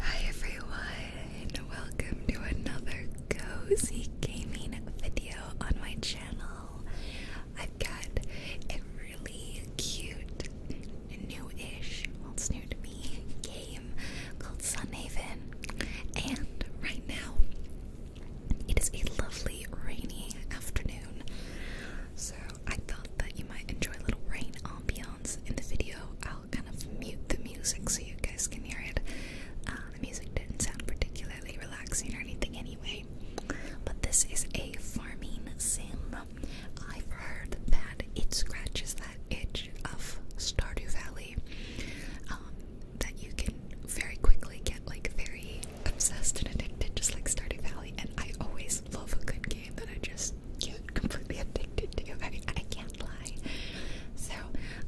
Hi everyone, welcome to another cozy gaming video on my channel. I've got a really cute, new-ish, well it's new to me, game called Sunhaven. And right now, it is a lovely rainy afternoon. So I thought that you might enjoy a little rain ambiance in the video. I'll kind of mute the music so you guys can hear it. Uh, the music didn't sound particularly relaxing or anything anyway. But this is a farming sim. I've heard that it scratches that itch of Stardew Valley. Um, that you can very quickly get like very obsessed and addicted just like Stardew Valley and I always love a good game that I just get completely addicted to. I, I can't lie. So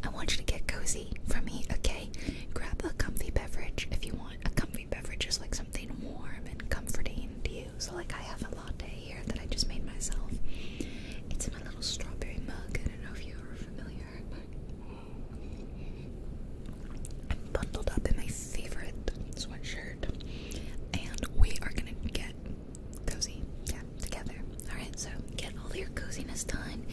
I want you to get cozy for me, okay? Grab a comfy beverage if you want. A comfy beverage is like something warm and comforting to you. So like I have a latte here that I just made myself. It's in my little strawberry mug. I don't know if you are familiar, I'm bundled up in my favorite sweatshirt, and we are gonna get cozy, yeah, together. Alright, so get all your coziness done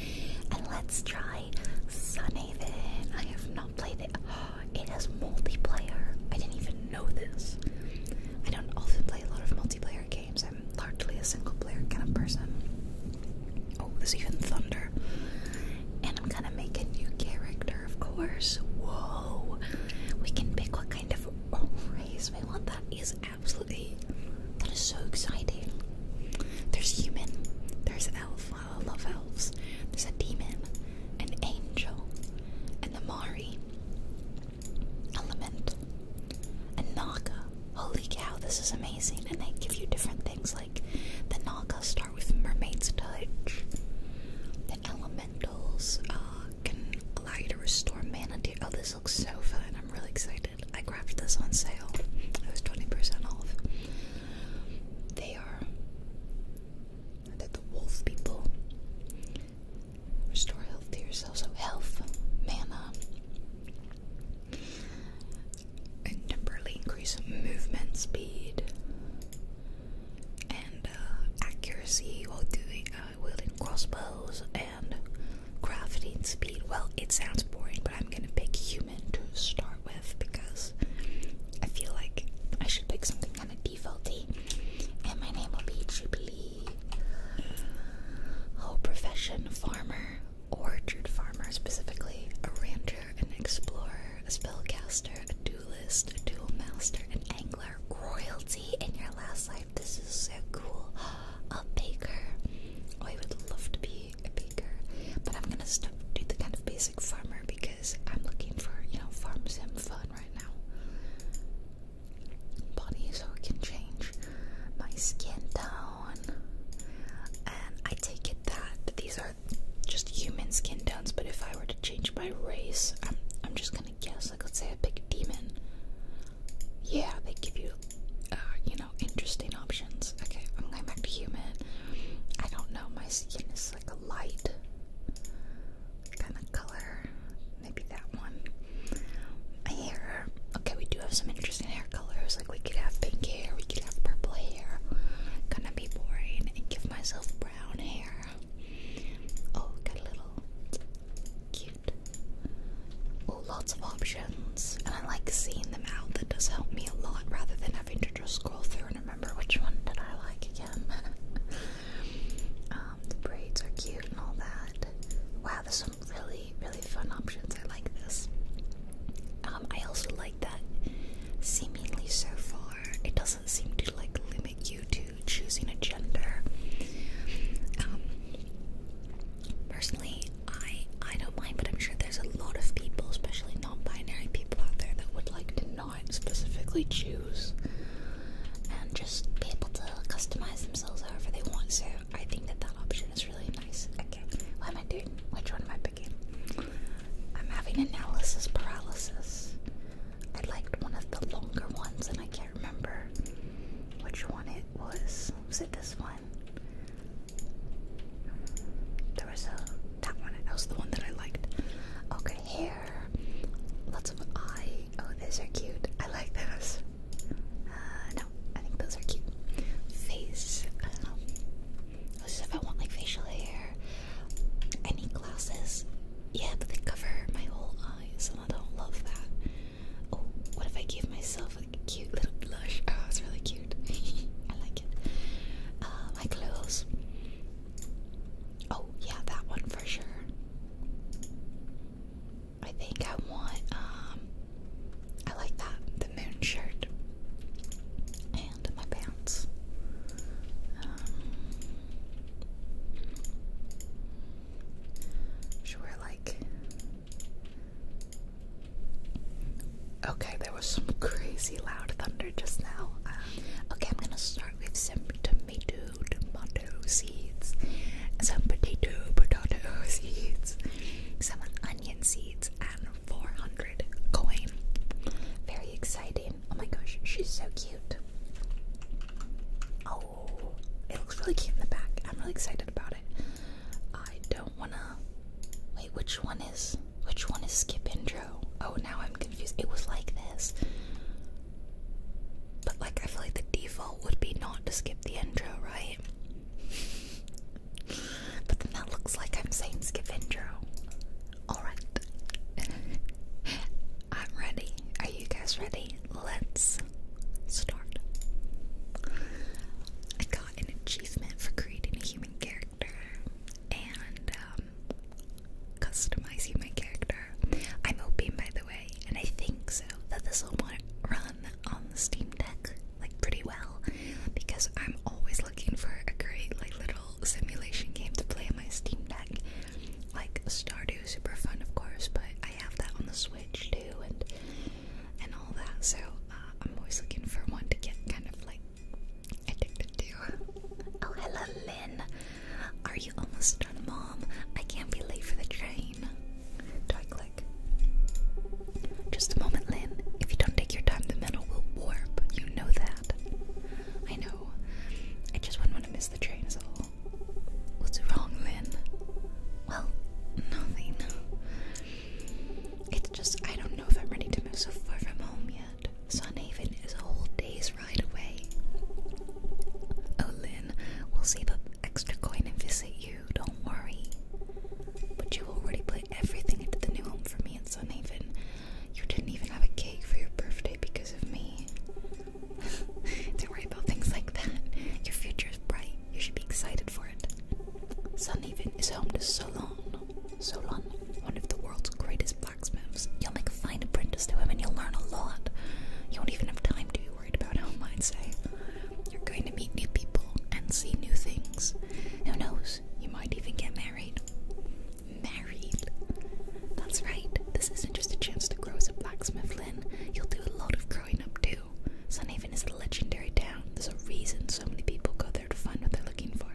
and let's try Sunhaven. I have not played it. Oh, it has multiplayer. I didn't even know this. I don't often play a lot of multiplayer games. I'm largely a single player kind of person. Oh, there's even thunder. And I'm gonna make a new character, of course. Whoa! We can pick what kind of oh, raise. Wait, what? That is absolutely. That is so exciting. There's human. There's an elf. I love elves. There's a demon, an angel, an Amari, element, and Naga. Holy cow, this is amazing. And they give you different things like the Naga start with mermaid's touch, the elementals, uh, can allow you to restore mana Oh, this looks so fun. I'm really excited. I grabbed this on sale. It was 20% off. They are they the wolf people. Restore health to yourself. So health, mana, and temporarily increase movement speed and uh, accuracy while doing uh, wielding crossbows and crafting speed. Well, it sounds boring, but I'm gonna pick human to start with because I feel like I should pick something kind of defaulty. And my name will be Jubilee. Oh, uh, profession farmer, orchard farmer specifically, a rancher, an explorer, a spellcaster, a duelist, a dual master, an angler royalty in your last life. This is so cool. A baker. Oh, I would love to be a baker, but I'm gonna stop do the kind of basic farmer because I'm looking for you know farm sim fun right now. Body, so I can change my skin tone, and I take it that these are just human skin tones. But if I were to change my race, I'm just gonna Yes, to guess, like let's say a big demon. Yeah, they give you, uh, you know, interesting options. Okay, I'm going back to human. I don't know, my skin is like a light kind of color. Maybe that one. Hair. Okay, we do have some interesting hair colors. Like we could have pink hair, we could have purple hair. Gonna be boring and give myself brown hair. Oh, got a little Cute. Oh, lots of options, and I like seeing them out. That does help me a lot rather than having to just scroll through and remember which one did I like again. um, the braids are cute and all that. Wow, there's some really, really fun options. I like this. Um, I also like that. Seemingly so far, it doesn't seem to like limit you to choosing a gender. Um, personally, I I don't mind, but I'm sure there's a lot of people, especially non-binary people out there, that would like to not specifically choose and just be able to customize themselves however they want. So I think that that option is really nice. Okay, what am I doing? Which one am I picking? I'm having analysis paralysis. I liked one of the longer ones, and I can't really remember which one it was. Was it this one? There was a that one. That was the one that I liked. Okay, hair. Lots of eye. Oh, these are cute. I like those. Uh, no, I think those are cute. Face. Um, this is if I want like facial hair. Any glasses? Yeah, but they cover my whole eyes, and I don't love that. Oh, what if I gave myself a cute little blush? Oh, it's really cute. I like it. Uh, my clothes. Oh, yeah, that one for sure. I think I want, um, I like that, the moon shirt. And my pants. Um, should like. Okay, there was some crazy loud thunder just now. Um, okay, I'm gonna start with some tomato, tomato seeds, some potato, potato seeds, some onion seeds, and 400 coin. Very exciting. Oh my gosh, she's so cute. Oh, it looks really cute in the back. I'm really excited about it. I don't wanna wait. Which one is which one is skip intro? Oh, now I'm confused. It was like this, but like I feel like the default would be not to skip the intro, right? But then that looks like I'm saying skip intro. Alright. I'm ready. Are you guys ready? Let's Start. I got an achievement for creating a human character and um, customizing my character. I'm hoping, by the way, and I think so, that this will run on the Steam Deck like pretty well because I'm always looking for a great like little simulation game to play on my Steam Deck. Like Stardew, super fun, of course, but I have that on the Switch too, and and all that. So uh, I'm always looking for one to get kind of like addicted to. oh, hello, Lynn. Are you almost done, Mom? I can't be late for the train. Do I click? Just a moment, Lynn. If you don't take your time, the metal will warp. You know that. I know. I just wouldn't want to miss the train, so What's wrong, Lynn? Well, nothing. It's just I don't know if I'm ready to move so far from home yet. Sunhaven is a whole day's ride away. Oh, Lynn, we'll save up extra coin and visit you, don't worry. But you already put everything into the new home for me at Sunhaven. You didn't even have a cake for your birthday because of me. Don't worry about things like that. Your future is bright. You should be excited for it. Sunnyvin is home to Solon. Solon, one of the world's greatest blacksmiths. You'll make a fine apprentice to him and you'll learn a lot. You won't even have time to be worried about how I'd say. You're going to meet new people and see new things. Who knows? You might even get married. Married? That's right. This isn't just a chance to grow as a blacksmith, Lynn. You'll do a lot of growing up too. Sun Haven is a legendary town. There's a reason so many people go there to find what they're looking for.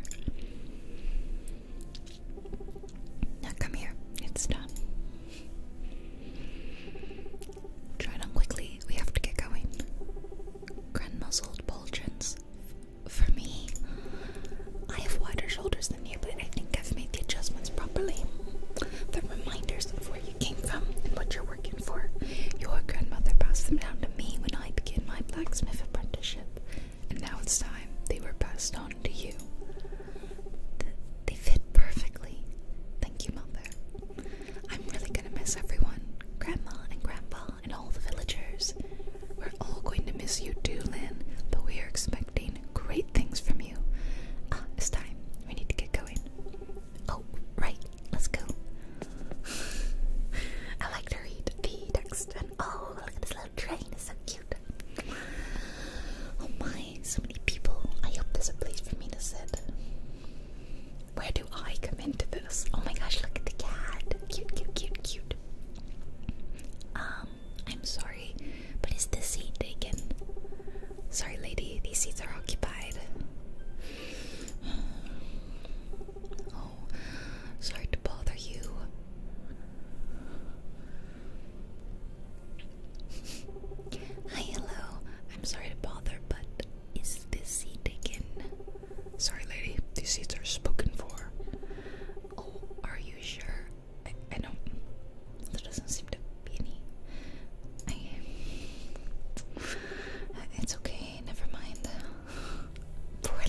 Now come here. It's done. Try it on quickly. We have to get going. Grandma's old For me, I have wider shoulders than you, but I think I've made the adjustments properly. The reminders where you came from and what you're working for. Your grandmother passed them down to me when I began my blacksmith apprenticeship, and now it's time they were passed on to you. they fit perfectly. Thank you, Mother. I'm really gonna miss everyone Grandma and Grandpa and all the villagers. We're all going to miss you too, Lynn, but we are expecting great things from you. Ah, it's time. We need to get going. Oh, right, let's go. I like to read the text oh, look at this little train, it's so cute. Oh my, so many people. I hope there's a place for me to sit. Where do I come into this? Oh my gosh, look at the cat. Cute, cute, cute, cute. Um, I'm sorry. But is this seat taken? Sorry, lady, these seats are occupied. Oh, sorry to bother you. Hi, hello. I'm sorry to bother, but is this seat taken? Sorry, lady, these seats are spoken for. Oh, are you sure? I, don't. That doesn't seem to be any. it's okay, never mind. Poor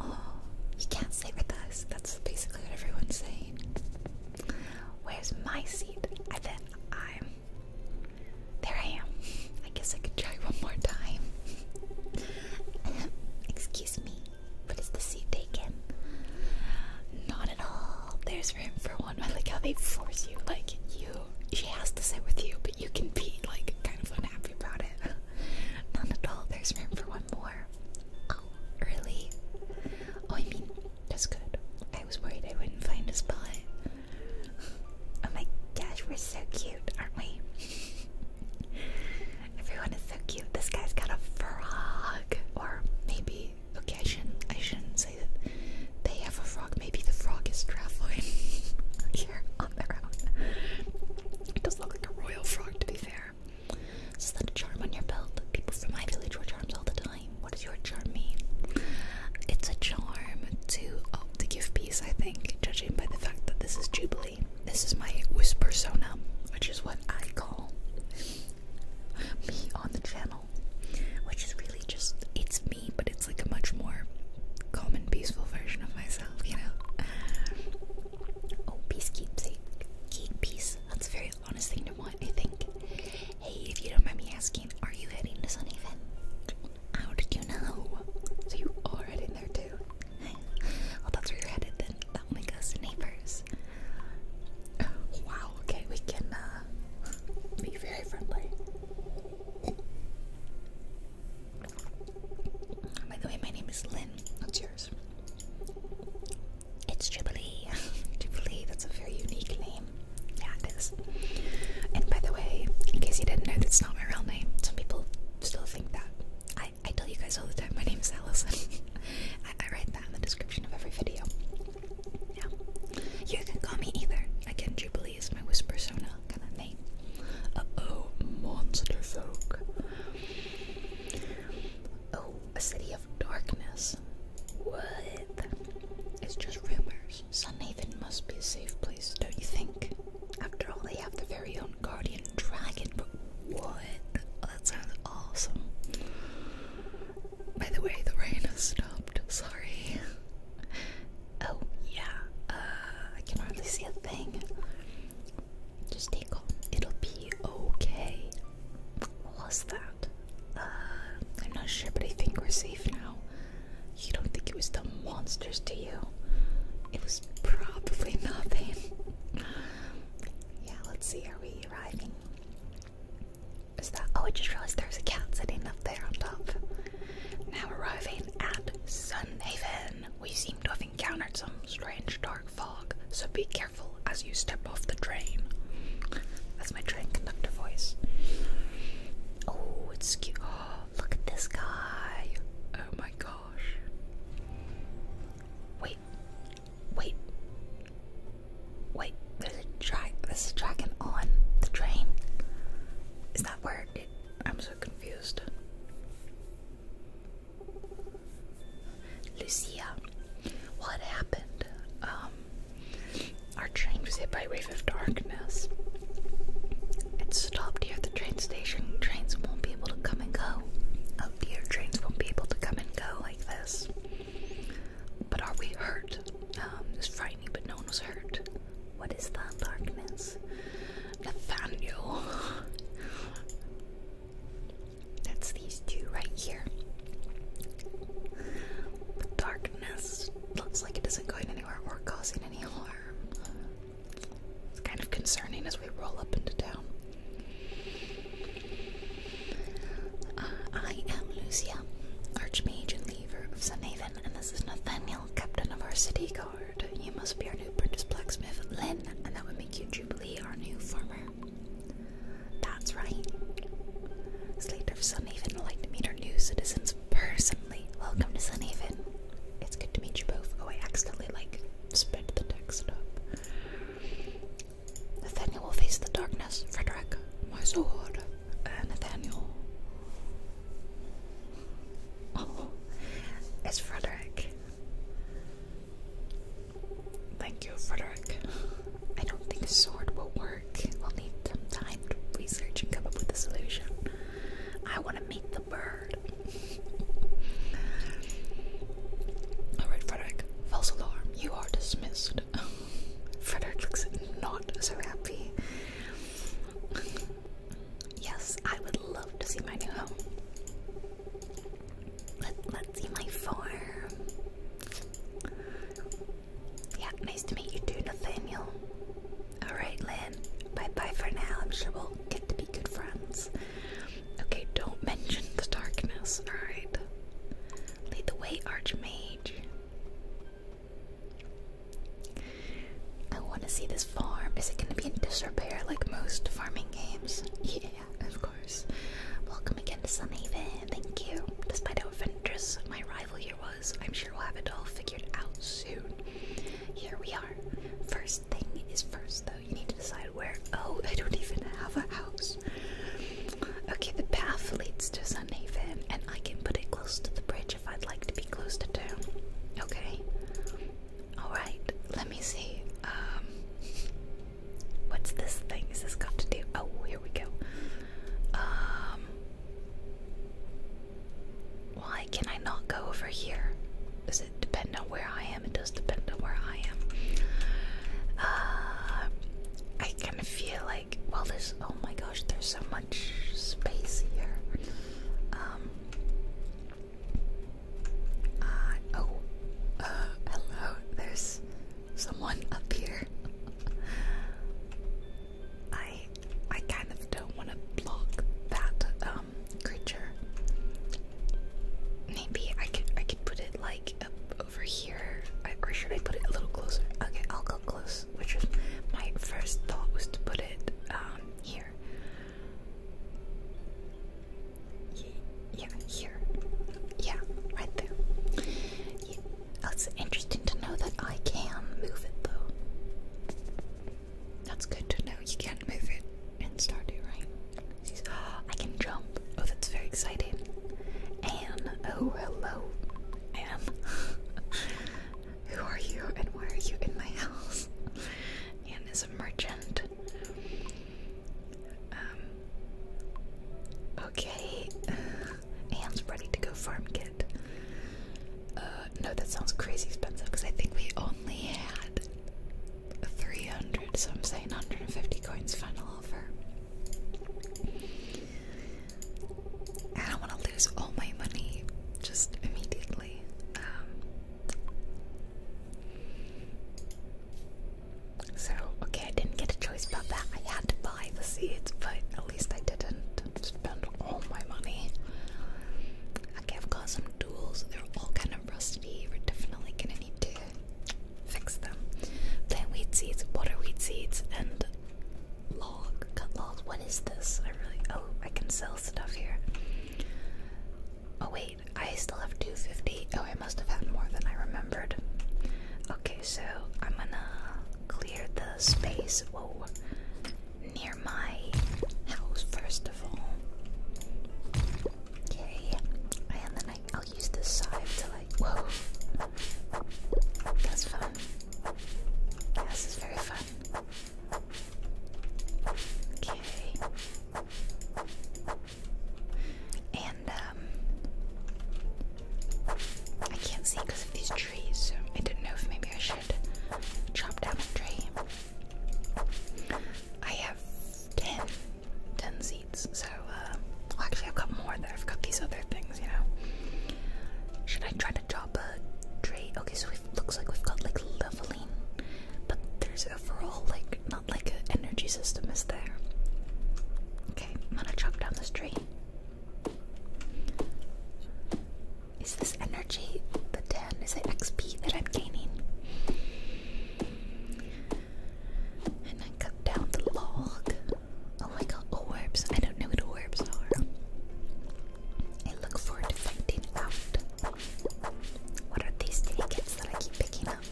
Oh, you can't stay with us. That's basically what everyone's saying. Where's my seat? I bet I'm. There I am. I guess I could try one more time. Excuse me, but is the seat taken? Not at all. There's room for one. I like how they force you. Like you, she has to sit with you, but you can be like kind of unhappy about it. None at all. There's room for one more. Oh, really? Oh, I mean, that's good. I was worried I wouldn't find a spot. Oh my gosh, we're so cute, aren't we? Everyone is so cute. This guy's got a frog, or maybe they I shouldn't say that they have a frog. Maybe the frog is traveling here on their own. It does look like a royal frog to be fair. Is that a charm on your belt? People from my village wear charms all the time. What does your charm mean? It's a charm to oh, to give peace, I think, judging by the fact that this is Jubilee. This is my whisper sona, which is what I call me on the channel, which is really just it's me, but it's like a much more calm and peaceful version of myself, you know. Oh, peace, keep safe, keep peace. That's a very honest thing to want, I think. Hey, if you don't mind me asking, are you heading to Sunnyfin? How did you know? So you are heading there too. well, that's where you're headed then. That'll make us neighbors this. Wow, okay, we can uh, be very friendly. By the way, my name is Lynn. What's yours? It's Jubilee. Jubilee, that's a very unique name. Yeah, it is. And by the way, in case you didn't know, that's not my real name. Some people still think that. I, I tell you guys all the time, my name is Allison. I write that in the description of every video. Yeah. You can call me either. Again, Jubilee is my whisper persona kind of name. oh, monster folk. Oh, a city of darkness. What? It's just rumors. Sunhaven must be a safe place, don't you think? After all, they have their very own guardian dragon, what? Oh, that sounds awesome. By the way, the rain has stopped. Sorry. Oh, yeah. Uh, I can hardly see a thing. Just stay calm. It'll be okay. What was that? Uh, I'm not sure, but I think we're safe now. You don't think it was the monsters, do you? It was probably nothing. yeah, let's see. Are we arriving? Oh, I just realized there's a cat sitting up there on top. Now arriving at Sun Haven, we seem to have encountered some strange dark fog, so be careful as you step off the train. That's my train conductor voice. Oh, it's cute. Oh, look at this guy. Oh my gosh. Wait, Wait. Wait, there's a drag there's a dragon on the train. Is that where I'm so confused. Lucia, what happened? Um, our train was hit by a wave of darkness. It stopped here at the train station. Trains won't be able to come and go. Oh dear, trains won't be able to come and go like this. But are we hurt? Um, it's frightening, but no one was hurt. What is that darkness? Nathaniel. That's these two right here. The darkness looks like it isn't going anywhere or causing any harm. It's kind of concerning as we roll up into town. Uh, I am Lucia, Archmage and leader of Sunhaven, and this is Nathaniel, Captain of our City Guard. You must be our new apprentice blacksmith, Lin, and that would make you Jubilee, our new farmer. That's right. Slater of Sunhaven would like to meet our new citizens personally. Welcome to Sunhaven. It's good to meet you both. Oh, I accidentally, like, sped the text up. Nathaniel will face the darkness. Frederick, my sword. Uh, Nathaniel. Oh, it's Frederick. Thank you, Frederick. I don't think a sword will work. We'll need some time to research and come up with a solution. I want to meet the bird. Alright, Frederick. False alarm. You are dismissed. Frederick looks not so happy. Yes, I would love to see my new home. Let, let's see my farm. Yeah, nice to meet you too, Nathaniel. Alright, Lynn. Bye bye for now. I'm sure we'll get to be good friends. Okay, don't mention the darkness, alright? Lead the way, Archmage. I want to see this farm. Is it going to be in disrepair like most farming games? Yeah, of course. Welcome again to Sunhaven. Thank you. Despite how adventurous my rival here was, I'm sure we'll have it all figured out soon. Here we are. First thing is first, though. You need to decide where. Oh, I don't even have a house. Okay, the path leads to Sunhaven, and I can put it close to the bridge if I'd like to be close to town. Okay. Alright, let me see. Um, what's this thing? Is this got to do? Oh, here we go. Um why can I not go over here? Does it depend on where I am? It does depend on where I am. Uh I kind of feel well this oh my gosh there's so much space here um, uh, oh uh, hello there's someone up here I I kind of don't want to block that um, creature maybe I could I could put it like up over here, I, or should I put it a little closer? Okay, I'll go close. Which is my first thought was to put it um, here. Yeah, here. Yeah, right there. Yeah. That's oh, interesting to know that I can move it though. That's good to know. You can move it and start it, right? Jeez. I can jump. Oh, that's very exciting. And oh, hello. I Who are you and why are you in my house? Anne is a merchant. Um, okay. Uh, Anne's ready to go farm kit. Uh, no, that sounds crazy expensive because I think we only had 300, so I'm saying 150 coins final offer. I don't want to lose all my money just immediately. Um. so, okay, I didn't get a choice about that. I had to buy the seeds, but at least I didn't spend all my money. Okay, I've got some tools. They're all kind of rusty. We're definitely gonna need to fix them. Plant weed seeds, water weed seeds, and Log, cut log. What is this? I really. Oh, I can sell stuff here. Oh wait, I still have 250. Oh, I must have had more than I remembered. Okay, so I'm gonna clear the space. Whoa, near my house first of all. Okay, and then I, I'll use this side to like. Whoa, that's fun. This is very fun. Okay. And, um, I can't see because of these trees, I didn't know if maybe I should chop down a tree. I have 10, seeds, so, uh, actually, I've got more there. I've got these other things you know. Should I try to drop a tree? Okay, so it looks like we've got like leveling, but there's overall like not like an energy system is there. Okay, I'm gonna chop down this tree. Is this energy the 10? Is it XP that I'm gaining? And I cut down the log. Oh my god, orbs. I don't know what orbs are. I look forward to finding out. What are these tickets that I keep picking up?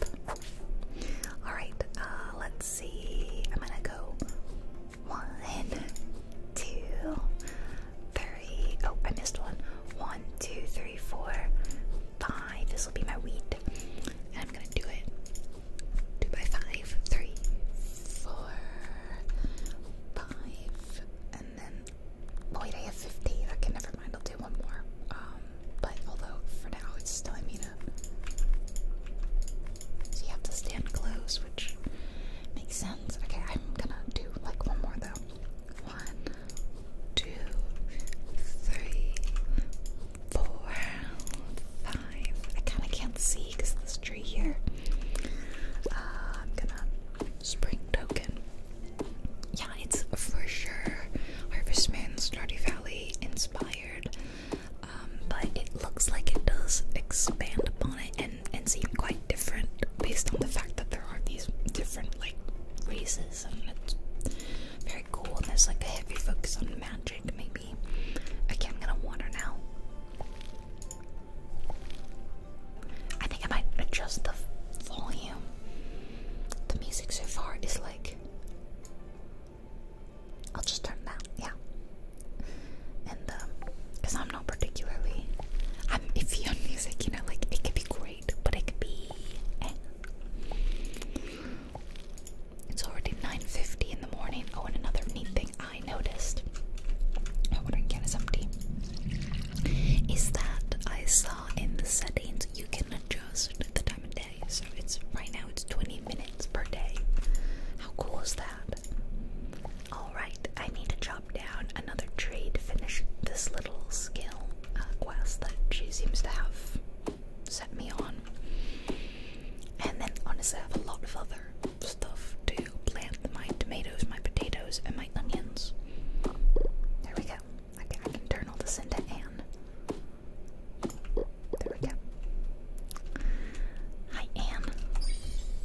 Alright, uh, let's see. I'm gonna go one, two, three. Oh, I missed one. One, two, three, four, five. This will be my wheat. I'm gonna do it two by five, three, four, five, and then oh wait, I have fifteen. Okay, never mind. I'll do one more. Um, but although for now it's telling me to, uh, you have to stand close, which makes sense. Okay, I'm gonna do like one more though. One, two, three, four, five. I kind of can't see because this tree here. Uh, I'm gonna spring token. Yeah, it's for sure Harvest Moon, Valley inspired, um, but it looks like it does expand upon it and and seem quite different based on the fact that there are these different like races and it's very cool. There's like a heavy focus on magic, maybe. Okay, I'm gonna water now. I think I might adjust the volume. The music so far is like. I'll just turn that, yeah. And because um, I'm not particularly, I'm iffy on music, you know, like it could be great, but it could be. Eh. It's already 9:50 in the morning. Oh, and another neat thing. I noticed, my watering can is empty, is that I saw in the settings you can adjust the time of day. So it's right now it's 20 minutes per day. How cool is that? Alright, I need to chop down another tree to finish this little skill uh, quest that she seems to have set me on. And then honestly, I have a lot of other stuff to plant my tomatoes, my potatoes, and my onions. There we go. I can, turn all this into Anne. There we go. Hi, Anne.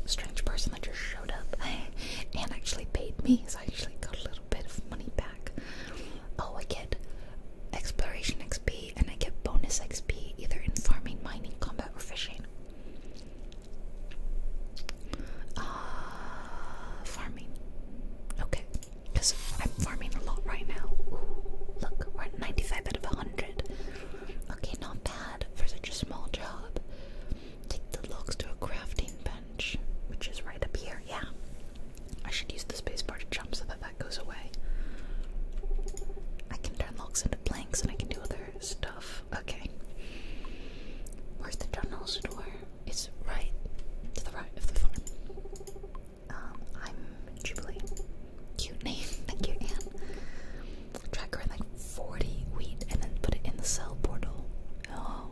Strange person that just showed up. Anne actually paid me, so I actually got a little bit of money back. Oh, I get exploration XP and I get bonus XP either in farming, mining, combat, or fishing. Uh, farming. Okay, because I'm farming a lot right now. look, we're at 95 out of 100. Okay, not bad for such a small job. Take the logs to a crafting bench, which is right up here. Yeah, I should use the spacebar to jump so that that goes away. I can turn logs into planks and I can do other stuff. Okay. Where's the general store? It's right to the right of the farm. Um, I'm Jubilee. Cute name. Thank you, Anne. Tracker like 40 wheat and then put it in the cell portal. Oh,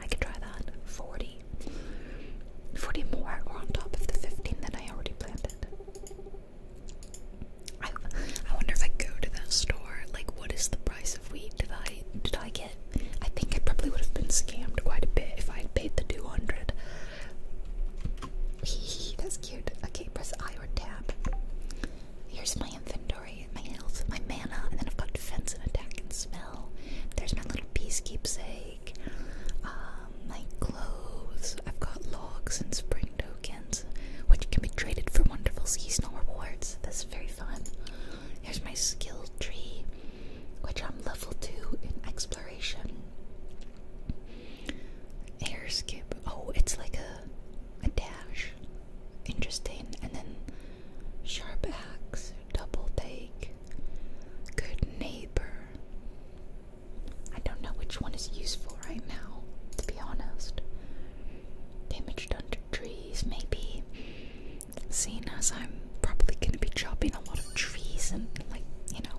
I could try that. 40. 40 more or on top of the 15 that I already planted. I, wonder if I go to that store, like what is the price of wheat? Did I did I get? I think I probably would have been scammed quite a bit if I had paid the two hundred. That's cute. Okay, press I or tab. Here's my inventory, my health, my mana, and then I've got defense and attack and smell. There's my little peace keepsake. Um, my clothes. I've got logs and spring tokens which can be traded for wonderful seasonal rewards. That's very fun. Here's my skill tree, which I'm level 2 in exploration. Air skip. Oh, it's like a, a dash. Interesting. And then sharp axe, double take, good neighbor. I don't know which one is useful right now, to be honest. Damaged under trees, maybe. Seeing as I'm probably gonna be chopping a lot of trees and, like, you know,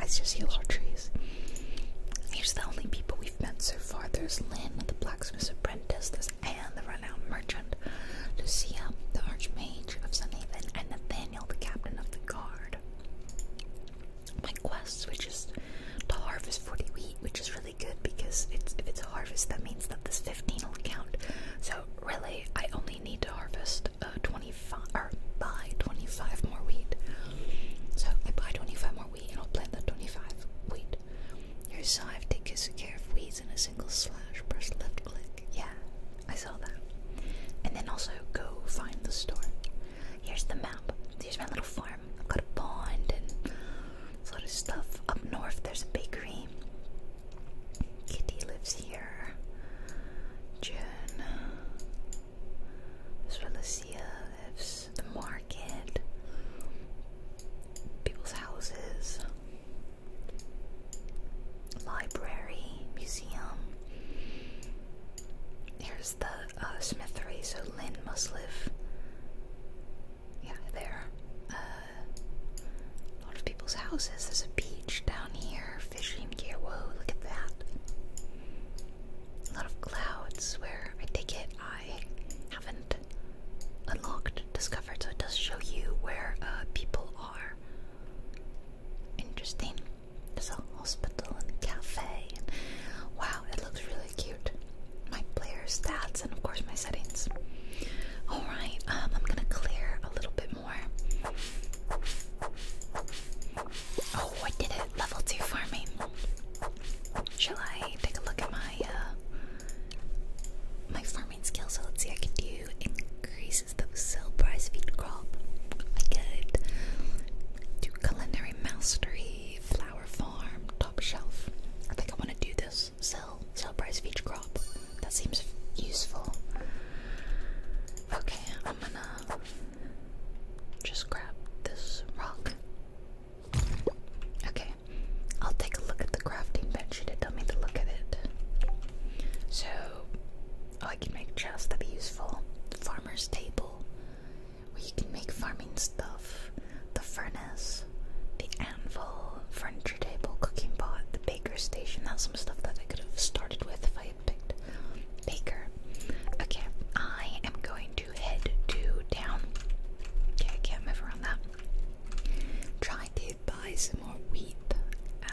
I just see a lot of trees. Here's the only people we've met so far there's Lynn, the blacksmith apprentice, there's Anne, the renowned merchant, Lucia, the archmage of Sunhaven, and Nathaniel, the captain of the guard my quest, which is to harvest 40 wheat, which is really good because it's, if it's a harvest, that means that the 15 will count. So really, I only need to harvest uh, 25 or buy 25 more wheat. So I buy 25 more wheat and I'll plant that 25 wheat. Your scythe takes care of weeds in a single slash. Press left click. Yeah, I saw that. And then also go find the store. Here's the map. Here's my little farm. I've got a pond and a lot of stuff. Up north, there's a bakery. Kitty lives here. Jen. This is where Lucia lives. The market. People's houses. Library. Museum. Here's the uh, Smith3, so Lynn must live, yeah, there. Uh, a lot of people's houses. There's a beach down here, fishing gear. Whoa, look at that. A lot of clouds where I take it I haven't unlocked, discovered, so it does show you where uh, people are. Interesting. There's a hospital and a cafe. And wow, it looks really cute. My player stats and of course my settings. All right, um, I'm gonna clear a little bit more. Oh, I did it! Level two farming. Shall I take a look at my uh, my farming skills? So let's see, I can do increases the sale price feed crop. I could do culinary mastery. Flower Farm top shelf. I think I want to do this. Sell, sell price each crop. That seems useful. Okay, I'm gonna just grab this rock. Okay, I'll take a look at the crafting bench. You did tell me to look at it. So, oh, I can make chests. That'd be useful. Farmer's table where you can make farming stuff the furnace, the anvil, furniture table, cooking pot, the baker station. That's some stuff that I could have started with if I had picked baker. Okay, I am going to head to town. Okay, I can't move around that. Trying to buy some more wheat. Uh,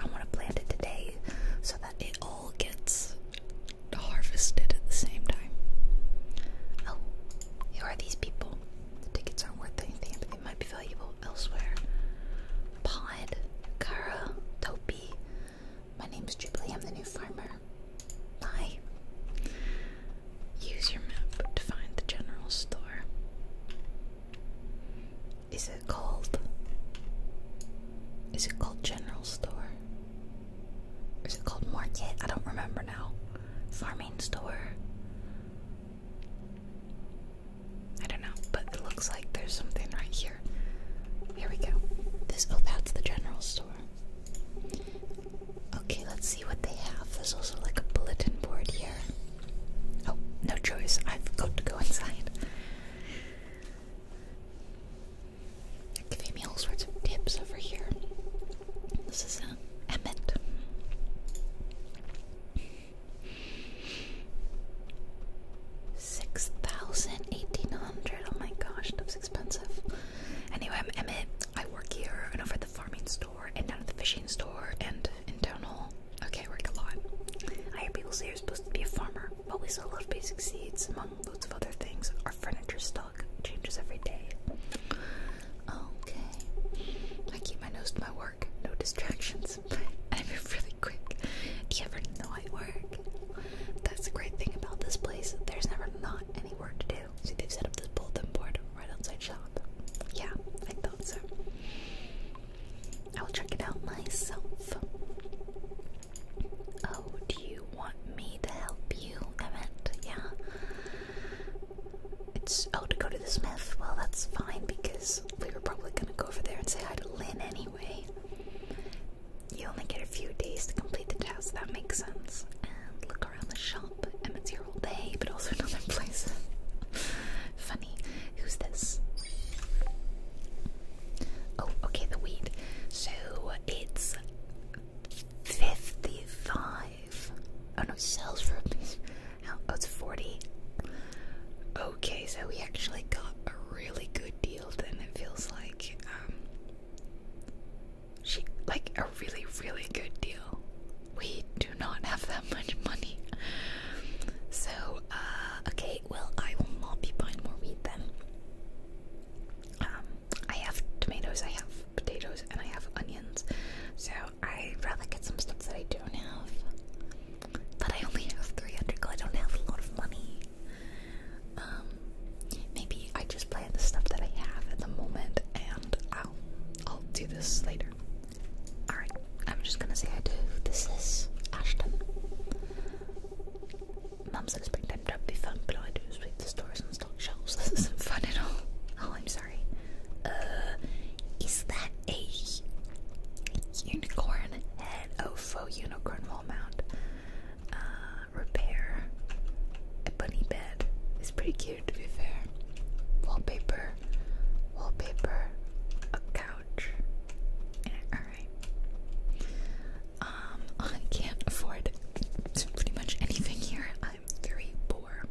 I want to plant it today so that it all gets harvested at the same time. Oh, who are these people? The tickets aren't worth anything, but they might be valuable elsewhere. Pod, Kara, Topi. My name's Jubilee, I'm the new farmer. Bye. Use your map to find the general store. Is it called? Is it called General Store? Is it called market? I don't remember now. Farming store. I don't know, but it looks like there's something right here. Here we go. This oh that's the general store. Okay, let's see what they have. There's also like a bulletin board here. Oh, no choice. I've got to go inside giving me all sorts of tips over here. This is um, Emmett. Six thousand eight hundred. Oh my gosh, that's expensive. Anyway, I'm Emmett. I work here and over at the farming store and down at the fishing store and in town hall. Okay, I work a lot. I hear people say you're supposed to be a farmer, but we sell a lot of basic seeds, loads of other things. Our furniture stock changes every day. Okay. I keep my nose to my work. No distractions. I move really quick. Do you ever know I work? That's the great thing about this place. There's never not any work to do. See, they've set up this bulletin board right outside shop. Yeah, I thought so. I'll check it out myself. Oh, do you want me to help you? I yeah. It's oh to go to the Smith. Well, that's fine because we were probably gonna go over there and say hi to Lynn anyway. You only get a few days to complete the task. That makes sense. And look around the shop. Emmett's here all day, but also another place. Funny. Who's this? Oh, okay, the wheat. So it's 55. Oh no, sells for Oh, it's 40. Okay, so we actually got a really good deal then, it feels like. Um, she, like, a really, really good deal. We do not have that much money. So, uh, okay, well, I will not be buying more weed then. Um, I have tomatoes, I have potatoes, and I have onions. So I'd rather get some stuff that I don't have. But I only have 300 I don't have a lot of money. Um, maybe I just plan the stuff that I have at the moment and I'll, I'll do this later. Alright, I'm just gonna say I do. This is Ashton. Mum said springtime job be fun, but all I do is sweep the stores and stock shelves. This isn't fun at all. Oh, I'm sorry. Uh, is that a unicorn head? Oh, faux unicorn wall mount. Uh, repair. A bunny bed. It's pretty cute, to be fair. Wallpaper. Wallpaper. A couch. Alright. Um, I can't afford pretty much anything here. I'm very poor.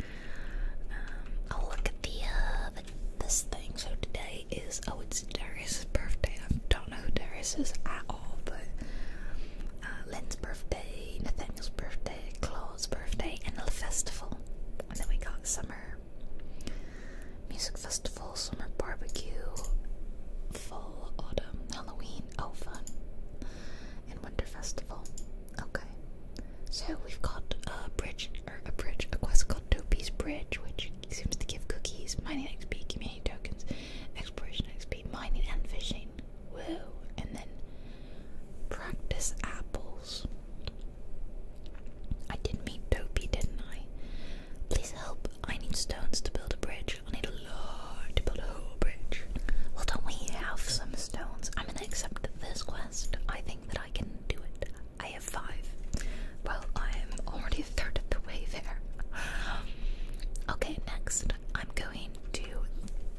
I'll um, oh, look at uh, the, this thing. So today is, oh, it's Darius' birthday. I don't know who Darius is at all, but uh, birthday, Nathaniel's birthday, Claude's birthday, and the festival. then we got summer music festival, summer barbecue, fall, autumn, Halloween. Oh, fun. And Winter Festival. Okay. So we've got a bridge, or er, a bridge, a quest called Dopey's Bridge, which seems to give cookies, mining XP, community tokens, exploration XP, mining and fishing. Whoa. And then practice apples. I did meet Dopey, didn't I? Please help I need stones to build a bridge. I need a lot to build a whole bridge. Well, don't we have some stones? I'm gonna accept this quest. I think that I can do it. I have five. Well, I am already a third of the way there. Okay, next I'm going to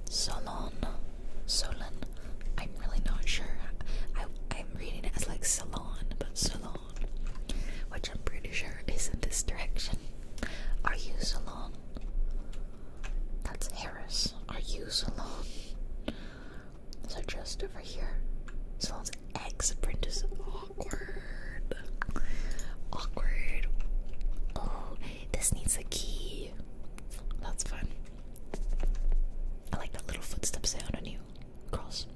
Solon. Solon. I'm really not sure. I, I'm reading it as like salon, but Solon, which I'm pretty sure is in this direction. Are you alone? That's Harris. Are you alone? So just over here. Salon's X print is awkward. Awkward. Oh, this needs a key. That's fun. I like that little footsteps sound on you. Cross.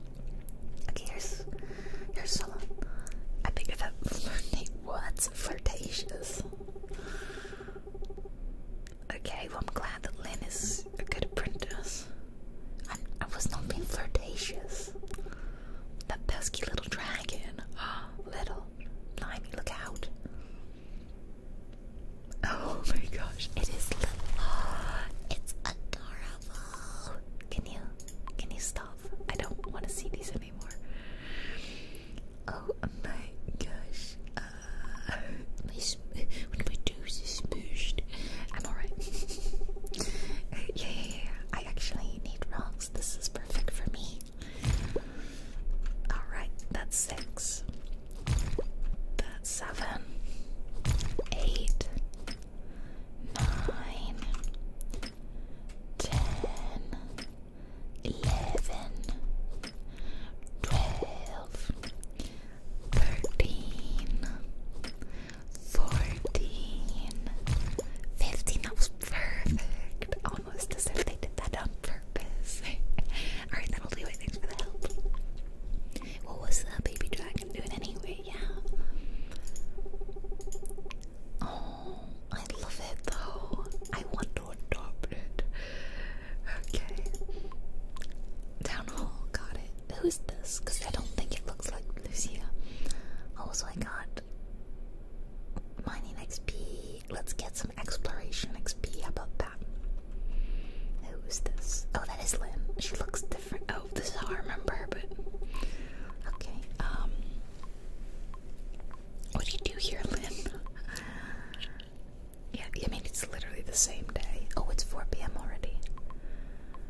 Okay, here's here's Salon. I think that her name What's flirtatious. Okay, well, I'm glad that Lynn is a good apprentice. I, was not being flirtatious. That pesky little dragon. little. Blimey, look out. Oh my gosh, it is little. It's adorable. Can you, can you stop? I don't want to see these Oh my gosh. Uh, my my nose is smooshed. I'm alright. Uh, yeah, I actually need rocks. This is perfect for me. Alright, that's six. That's seven. Eight. Nine. 10 11 12 13 14 15 that was perfect almost as if they did that on purpose alright that'll do it thanks for the help what was the baby dragon doing anyway yeah oh. I love it though. I want to adopt it. Okay. Town Hall, got it. Who's this? Because I don't think it looks like Lucia. Also, I got mining XP. Let's get some exploration XP. How about that? Who's this? Oh, that is Lynn. She looks different. Oh, this I remember but. Okay, um. What do you do here, Lynn? yeah, I mean, it's literally the same day. Oh, it's 4 p.m. already.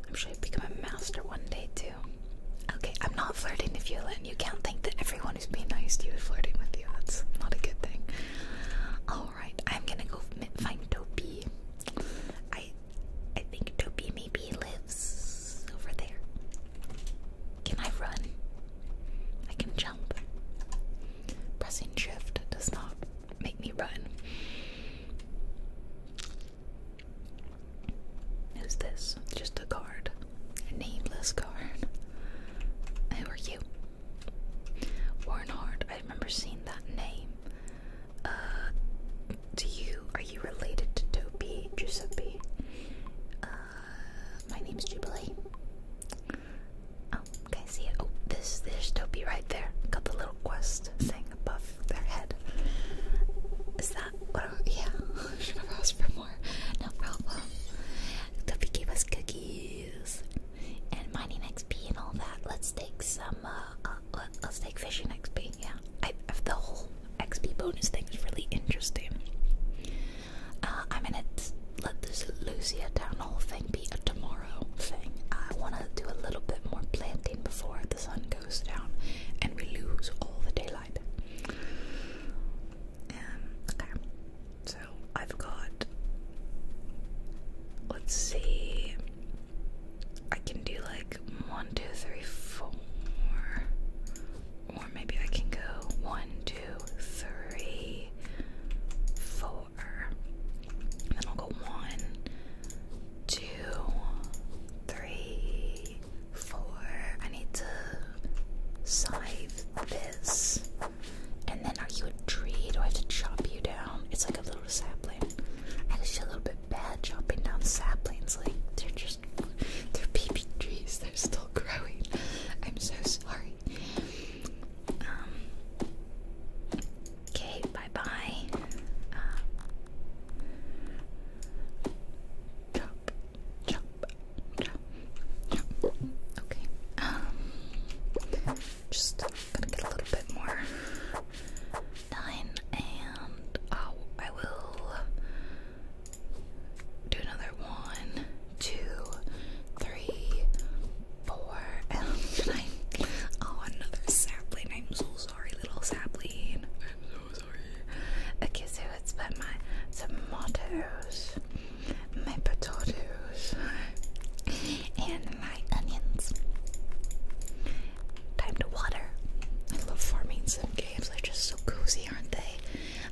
I'm sure you've become a master one day, too. Okay, I'm not flirting with you, Lynn. You can't think that everyone who's being nice to you is flirting with you. That's not a good thing. Alright, I'm gonna go find Dopey. I I think Dopey maybe lives over there. Can I run? I can jump. Pressing shift does not make me run. Is this? Just a card. A nameless card. Who are you? Warren I remember seeing that name. Uh do you are you related to Toby Giuseppe? Uh, my name is Jubilee. Oh, can I see it? Oh, this there's Toby right there. Got the little quest thing above their head. Is that what? yeah, should have asked for more. No problem. Toby gave us cookies and mining XP and all that. Let's take some. Uh, uh, let's take fishing XP. Yeah, I have the whole XP bonus thing is really interesting. Uh, I'm gonna let this Lucia Town Hall thing be a tomorrow thing. I wanna do a little bit more planting before the sun goes down and we lose all the daylight. Um, okay. So I've got. Let's see. I can do like one, two, three, four or maybe I can go one, two, three, four. then I'll go one, two, three, four. I need to scythe this. And then are you a tree? Do I have to chop you down? It's like a little sapling. I feel a little bit bad chopping down saplings. Like they're just they're baby trees, they're still growing. I'm so sorry. Um, okay, bye bye. Uh, um, chop, chop, Okay. Um, just gonna get a little bit more done, and oh, I will do another one, two, three, four, and nine. Oh, another sapling. I'm so sorry, little sapling. I'm so sorry. Okay, so it's about my tomatoes, potatoes, and my onions. Time to water. I love farming Some games. They're just so cozy, aren't they?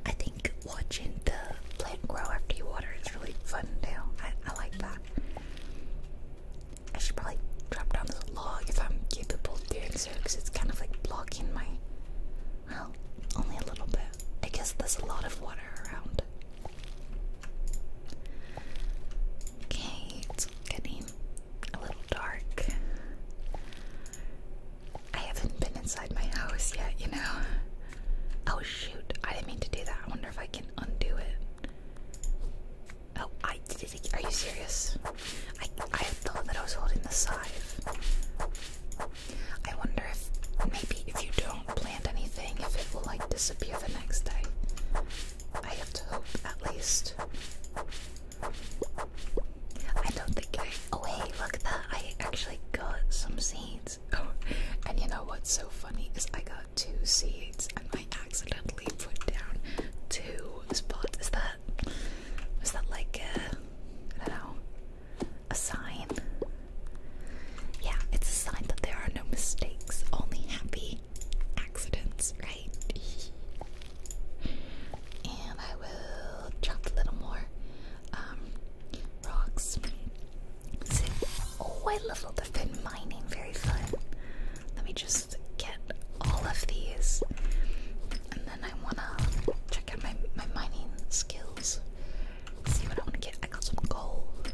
I think watching the plant grow after you water is really fun too. I, I like that. I should probably drop down this log if I'm capable of doing so because it's kind of like blocking my. Well, only a little bit. I guess there's a lot of water around. Okay, it's getting a little dark. I haven't been inside my house yet, you know. Oh shoot, I didn't mean to do that. I wonder if I can undo it. Oh, I did Are you serious? I, I thought that I was holding the scythe. I wonder if maybe if you don't plant anything, if it will like disappear the next day. I have to hope at least. I don't think I. Oh, hey, look at that. I actually got some seeds. Oh, and you know what's so funny is I got two seeds and I accidentally put down two spots. Is that. Was that like a. I A sign? Yeah, it's a sign that there are no mistakes, only happy accidents, right? and I will chop a little more um, rocks. oh, I leveled up in mining. Very fun. Let me just get all of these, and then I wanna check out my my mining skills. See what I wanna get. I got some gold.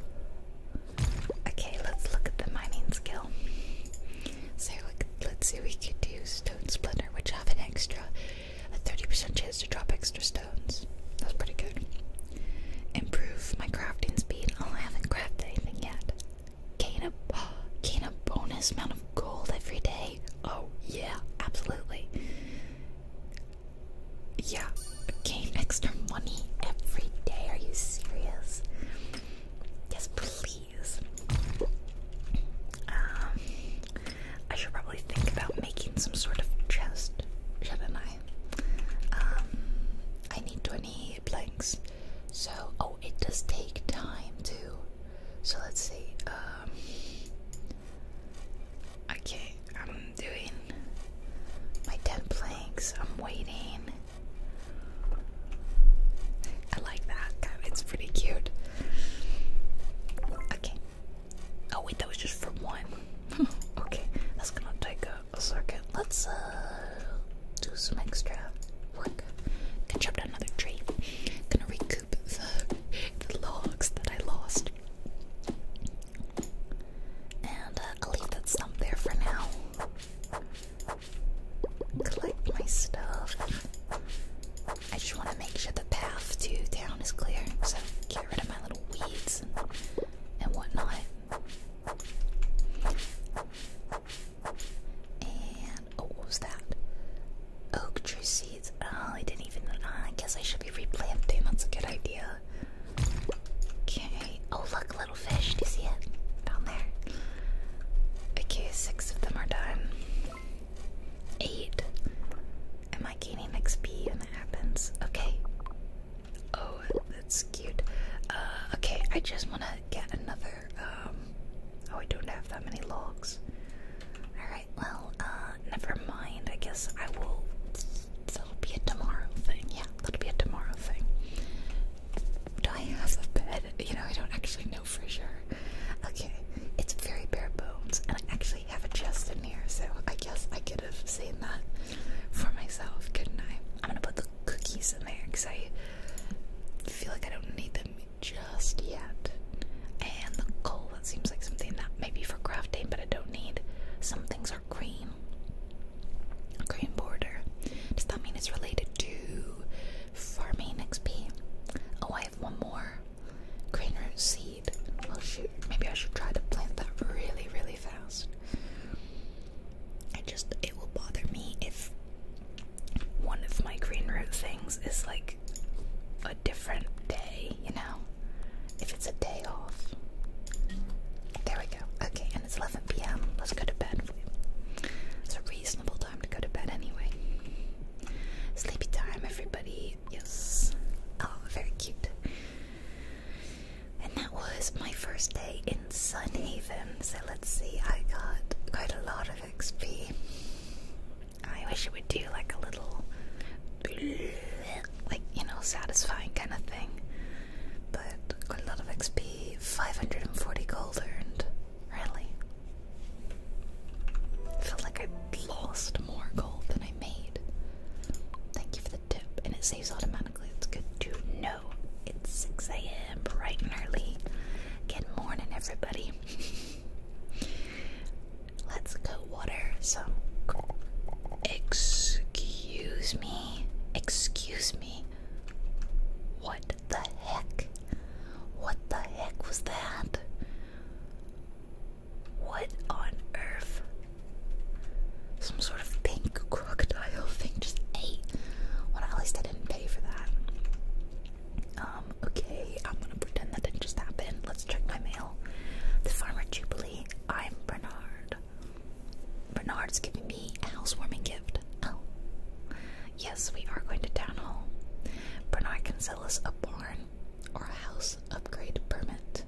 Okay, let's look at the mining skill. So let's see, we could use stone splinter, which have an extra a 30% chance to drop extra stones. That's pretty good. Improve my crafting speed. Oh, I haven't crafted anything yet. Gain a, gain a bonus amount of gold every day. Oh, yeah, absolutely. Yeah, gain extra money every day. Are you serious? Yes, please. Um, I should probably think about making some sort of chest, shouldn't I? Um, I need 20 planks. So, oh, it does take time too. So let's see. okay, um, I'm doing my 10 planks. I'm waiting. I like that. It's pretty cute. Okay, Oh wait, that was just for one. okay, that's gonna take a, a let Let's uh, do some extra work. Gonna chop down another tree. Gonna recoup the, logs that I lost. And uh, I'll leave that stump there for now. Collect my stuff. I just want to make sure the path to town is clear, so get rid of my little weeds and, whatnot. And oh, what was that? Oak tree seeds. Oh, I didn't even. I guess I should be replanting. That's a good idea. Okay. Oh, look, little fish. Do you see it down there? Okay, six of them are done. Eight. Am I gaining XP when it happens? Okay. Oh, that's cute. Uh, okay, I just want to get another. Um, oh, I don't have that many logs. Alright, well, uh, never mind. I guess I will. That'll be a tomorrow thing. Yeah, that'll be a tomorrow thing. Do I have a bed? You know, I don't actually know for sure. Okay, it's very bare bones, and I actually have a chest in here, so I guess I could have seen that for myself, couldn't I? I'm gonna put the cookies in there because I feel like I don't need them just yet. And the coal, that seems like something that maybe for crafting, but I don't need. Some things are green. Green border. Does that mean it's related to farming XP? Oh, I have one more. Green root seed. Well, shoot, maybe I should try to plant that really, really fast. It just, it will bother me if one of my green root things is like a different day, you know? If it's a day off. There we go. Okay, and it's 11 p.m. Let's go to bed. It's a reasonable time to go to bed anyway. Sleepy time, everybody yes. Oh, very cute. And that was my first day in Sun Haven. So let's see, I got quite a lot of XP. I wish it would do like a little, like, you know, satisfying kind of thing. But quite a lot of XP, 540 gold earned. Really? I feel like I lost more gold than I made. Thank you for the tip. And it saves automatically. It's good to know. It's 6 a.m. bright and early. Good morning, everybody. Let's go water. So, excuse me. Excuse me. What the heck? What the heck was that? What on earth? Some sort of pink crocodile thing just ate. Well, at least I didn't pay for that. Um, okay, I'm gonna pretend that didn't just happen. Let's check my mail. The Farmer Jubilee, I'm Bernard. Bernard's giving me a housewarming gift. Oh. Yes, we are going to town hall. Bernard can sell us a barn or a house upgrade permit.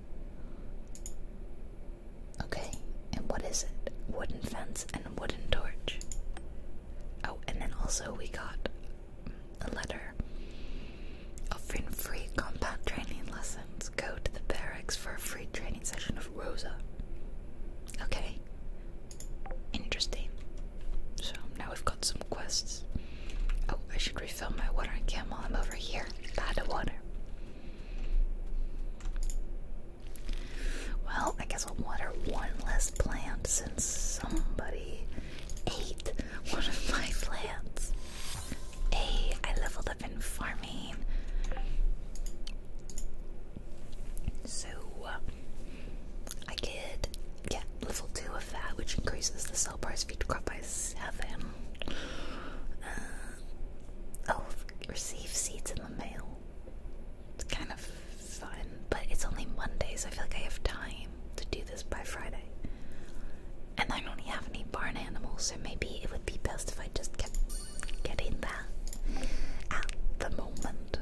Okay, and what is it? Wooden fence and wooden torch. Oh, and then also we got a letter offering free combat training lessons. Go to the barracks for a free training session of Rosa. Okay, interesting. So now we've got some quests. Oh, I should refill my watering can while I'm over here. By the water. Well, I guess I'll water one less plant since somebody ate one of my plants. Hey, I leveled up in farming. So, uh, I could, level 2 of that, which increases the cell bar speed crop by 7. Uh, oh, receive seeds in the mail. It's kind of fun, but it's only Monday, so I feel like I have time to do this by Friday. And I don't have any barn animals, so maybe it would be best if I just kept getting that at the moment.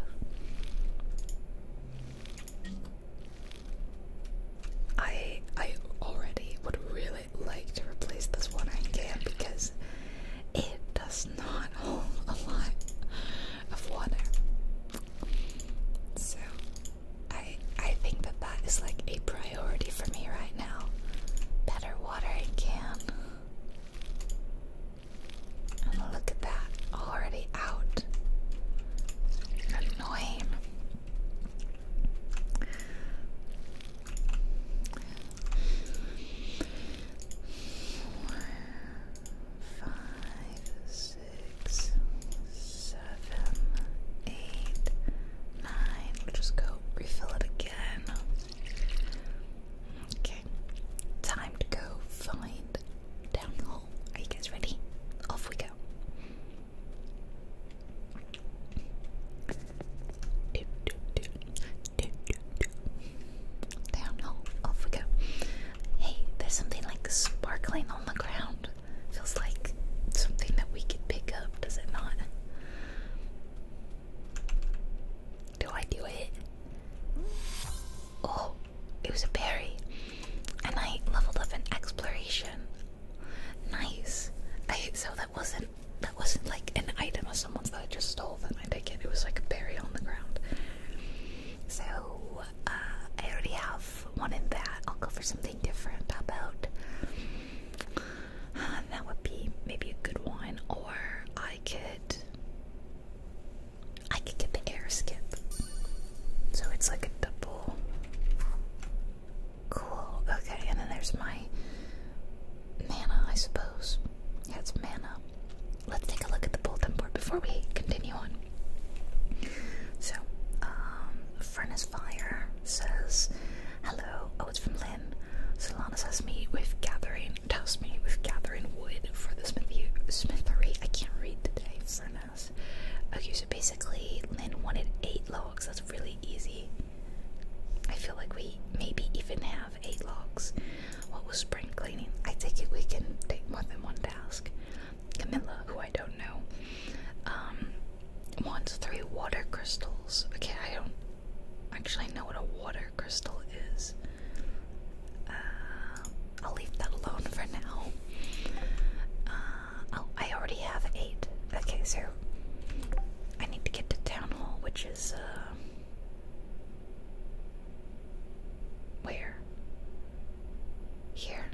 I I already would really like to replace this one I can because it does not hold a lot of water. So I I think that that is like a priority for me right now. Better watering can. And look at that, already out. Annoying. Four, five, six, seven, eight, nine. We'll just go refill it again. Okay, time to go find down the hall. Are you guys ready? Off we go. Do, off we go. Hey, there's something like sparkling on the ground. Feels like something that we could pick up, does it not? Do I do it? Oh, it was a berry. And I leveled up an exploration. Nice. I hope so. That wasn't that wasn't like an item of someone's that I just stole then I take it. It was like a buried on the ground. So uh, I already have one in that. I'll go for something different. about uh, that would be maybe a good one, or I could I could get the air skip. So it's like a double Cool. Okay, and then there's my mana, I suppose. Yeah, it's mana. Let's take a look at the bulletin board before we continue on. So, um, Furnace Fire says, Hello. Oh, it's from Lynn. Solana says, Meet with gathering, toast me with gathering wood for the smithery. Smithery. I can't read the today, Furnace. Okay, so basically, Lynn wanted eight logs. That's really easy. I feel like we maybe even have eight logs. What was spring cleaning? I take it we can take more than one task. Camilla, who I don't know, um, wants three water crystals. Okay, I don't actually know what a water crystal is. Uh, I'll leave that alone for now. Um, oh, I already have eight. Okay, so I need to get to Town Hall, which is, uh. Where? Here.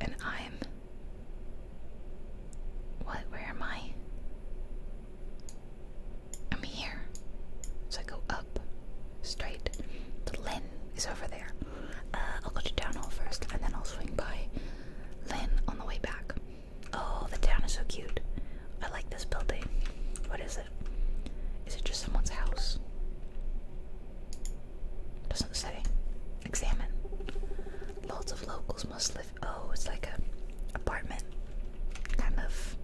And I'm. What? Where am I? I'm here. So I go up, straight. The Lynn is over there. Uh, I'll go to town hall first, and then I'll swing by Lynn on the way back. Oh, the town is so cute. I like this building. What is it? Is it just someone's house? Doesn't say. Examine. Lots of locals must live. Oh, it's like a apartment kind of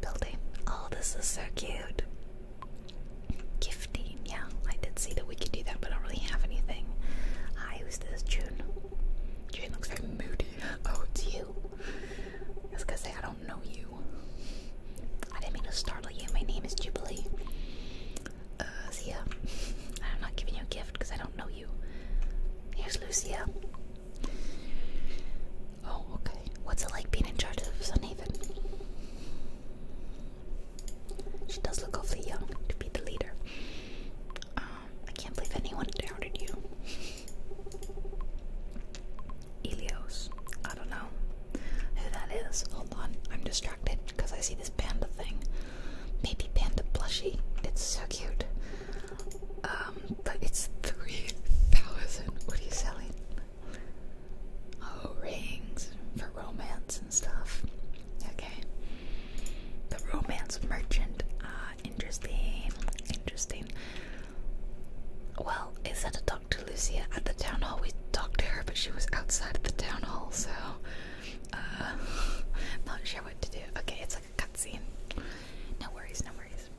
building. All oh, this is so cute. Gifty yeah, I did see that we could do that, but I don't really have anything. Hi, who's this? June. June looks very moody. Oh, it's you. I was gonna say, I don't know you. I didn't mean to startle you. My name is Jubilee. Uh, so yeah, I'm not giving you a gift because I don't know you. Here's Lucia. Oh, okay. What's it like being in charge of Sun Haven? She does look awfully young to be the leader. Um, I can't believe anyone doubted you. Elios. I don't know who that is. Hold on. I'm distracted because I see this panda thing. Maybe panda plushie. It's so cute. Um, but it's 3,000. What are you selling? Oh, rings for romance and stuff. Okay. The romance merchant. Uh, interesting. Interesting. Well, is that a talk to Lucia at the town hall. We talked to her, but she was outside of the town hall, so uh, not sure what to do. Okay, it's like a cutscene. No worries, no worries.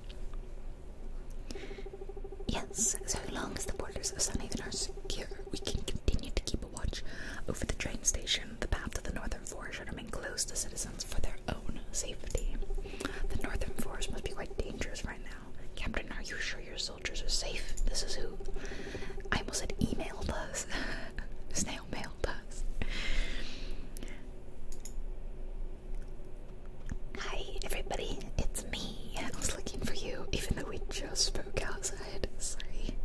Yes, so long as the borders of Sun Haven are secure, we can continue to keep a watch over the train station. The path to the northern forest should remain closed to citizens for their own safety. The northern forest must be quite dangerous right now. Captain, are you sure your soldiers are safe? This is who I almost said emailed us. Snail mail, us. Hi, everybody, it's me. I was looking for you, even though we just spoke out, Sorry.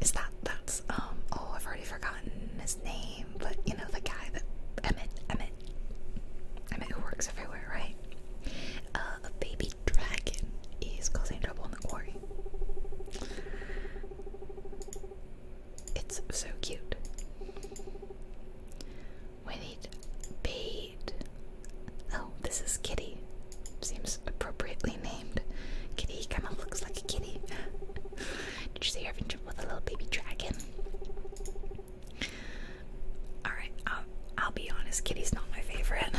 Is that that's um oh I've already forgotten his name, but you know the guy that Emmett Emmett Emmett who works everywhere, right? Uh, a baby dragon is causing trouble in the quarry. It's so cute. We need Oh, this is Kitty. Seems appropriately named. Kitty kind of looks like a kitty. Did you see with a little baby dragon? Alright, I'll, I'll be honest, Kitty's not my favorite.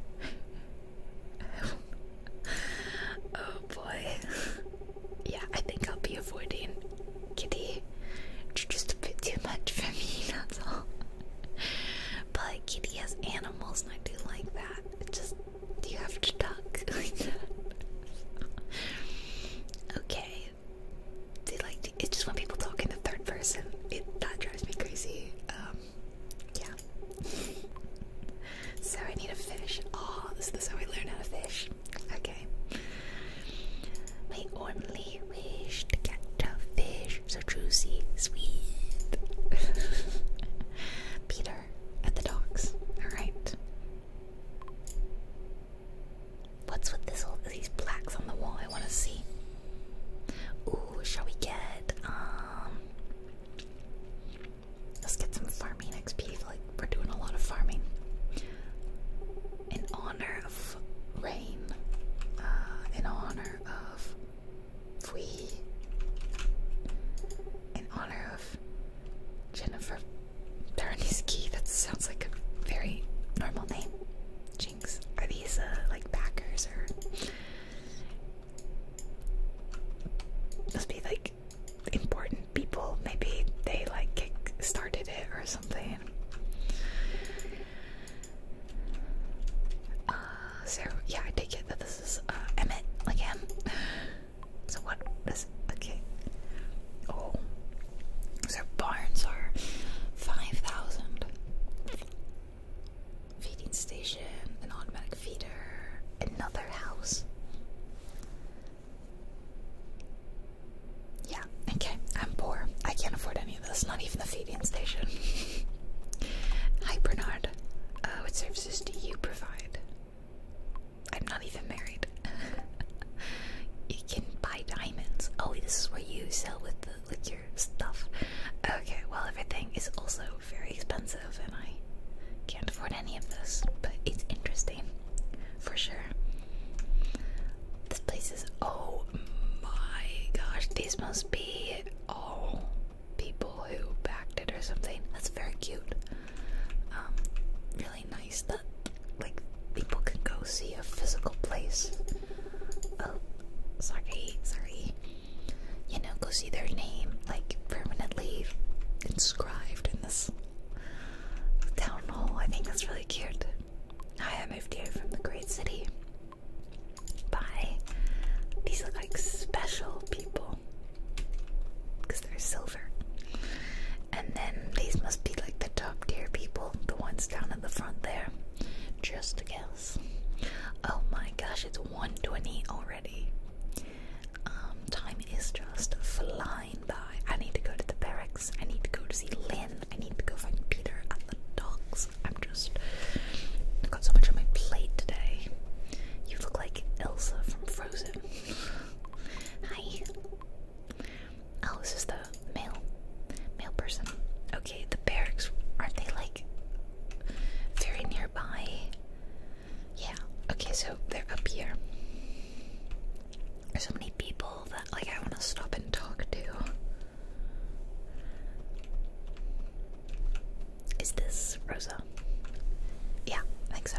oh boy. Yeah, I think I'll be avoiding Kitty, you're just a bit too much for me, that's all. But Kitty has animals, and I do like that. It just, you have to talk Okay. They like, it's just when people talk in the third person, it that drives me crazy. Um, yeah. so I need a fish. Oh, this is how we learn how to fish. Okay. My only wish to catch a fish so juicy, sweet. Peter at the docks. Alright. What's with this all these plaques on the wall? I wanna see. Ooh, shall we get um Let's get some farming XP. like we're doing a lot of farming. In honor rain uh, in honor of Fui, in honor of Jennifer Tarniski. That sounds like a very normal name. Jinx. Are these uh, like backers or must be like important people? Maybe they like started it or something. Uh, so yeah, I take it that this is uh, Emmett again. so what is okay? Oh, so barns are five thousand. Feeding station, an automatic feeder, another house. Yeah, okay, I'm poor. I can't afford any of this, not even the feeding station. Hi, Bernard. Uh, what services do you provide? I'm not even married. you can buy diamonds. Oh, this is where you sell with the liquor stuff. Okay, well everything is also very expensive, and I can't afford any of this. But it's interesting, for sure. This place is. Oh my gosh, these must be all people who backed it or something. That's very cute. Um, really nice that like people can go see a physical place. Oh, sorry, sorry. You know, go see their name like permanently inscribed in this town hall. I think that's really cute. Hi, I moved here from the great city. Bye. These look like special people because they're silver. And then these must be like the top tier people, the ones down at the front there. Just a guess. Oh my gosh, it's 120 already. Um, time is just flying by. I need to go to the barracks. I need to go to see Lynn. I need to go find Peter and the dogs. I'm just. I've got so much on my plate today. You look like Elsa from Frozen. Hi. Oh, this is the male, male person. Okay, the barracks aren't they like very nearby? Yeah. Okay, so they're up here. There's so many people that like I want to stop and talk to. Is this Rosa? Yeah, I think so.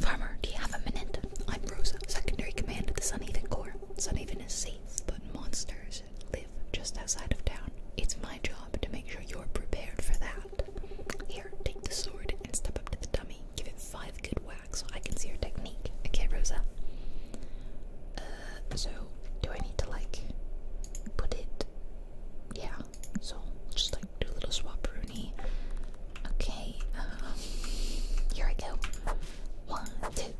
Farmer, do you have a minute? I'm Rosa, secondary command of the Sunhaven Corps. Sunhaven is safe, but monsters live just outside of town. It's my job to make sure you're prepared for that. Here, take the sword and step up to the dummy. Give it five good so I can see your technique. Okay, Rosa. Uh, so do I need to like put it? Yeah. So just like do a little swap, Rooney. Okay. Um, here I go. One, two,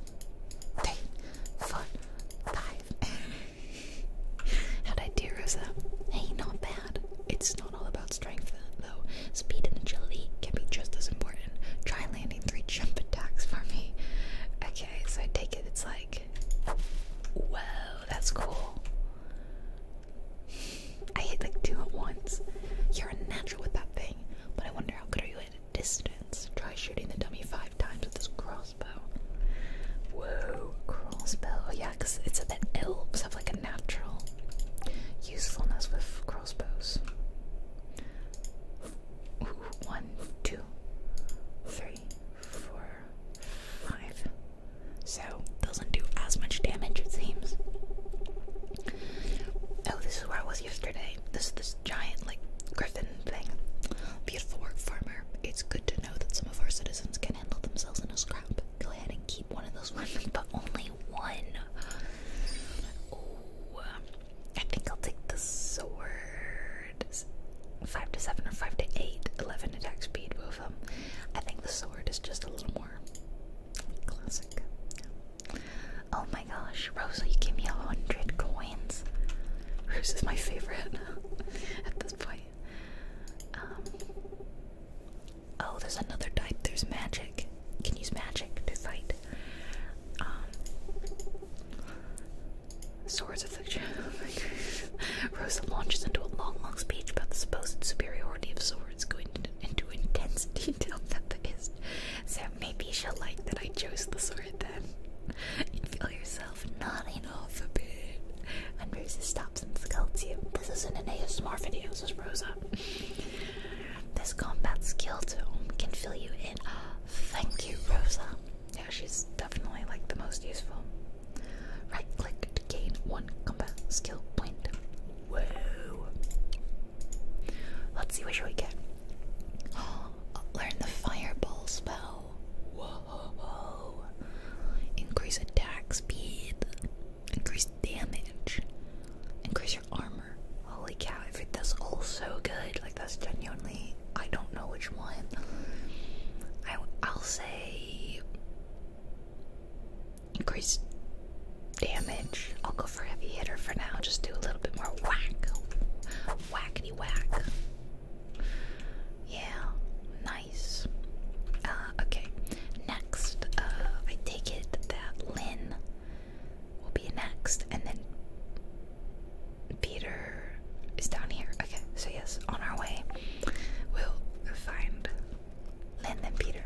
three, four, five. How'd I do, Rosa? Hey, not bad. It's not all about strength though, speed and agility can be just as important. Try landing three jump attacks for me. Okay, so I take it it's like, whoa, that's cool. I hit like two at once. You're a natural with that thing, but I wonder how good are you at distance? Try shooting the dummy five times with this crossbow. Whoa, crossbow. Oh, yeah, because it's that elves have like a natural usefulness with crossbows one, two, three, four, five. So doesn't do as much damage it seems. Oh, this is where I was yesterday. This this giant like griffin thing. Beautiful work, farmer. It's good to know that some of our citizens can handle themselves in a scrap. Go ahead and keep one of those ones, but only one. I think I'll take the sword. Five to seven or five to eight. Eleven attack speed, both of them. I think the sword is just a little more classic. Oh my gosh, Rosa, you give me a hundred coins. This is my favorite at this point. Um, oh, there's another type. There's magic. can use magic to fight. Um, swords of Fiction. Rosa launches into a long, long speech about the supposed superiority of swords, going into intense detail that the is. So maybe she'll like that I chose the sword then. And feel yourself nodding off a bit. And Rosa stops and scolds you. This isn't an ASMR video, says Rosa. this combat skill um, can fill you in. Thank you, Rosa. Yeah, she's definitely like the most useful. Right click to gain one combat skill point. Whoa. Let's see, what should we get? learn the fireball spell. Whoa. Increase attack speed. Increase damage. Increase armor. Holy cow, every, that's all so good. Like, that's genuinely. I don't know which one. I, I'll say. Increase damage. I'll go for heavy hitter for now. Just do a little bit more whack. Whackety whack. Yeah, nice. Uh, okay, next, uh, I take it that Lynn will be next, and then Peter is down here. Okay, so yes, on our way, we'll find Lynn and Peter.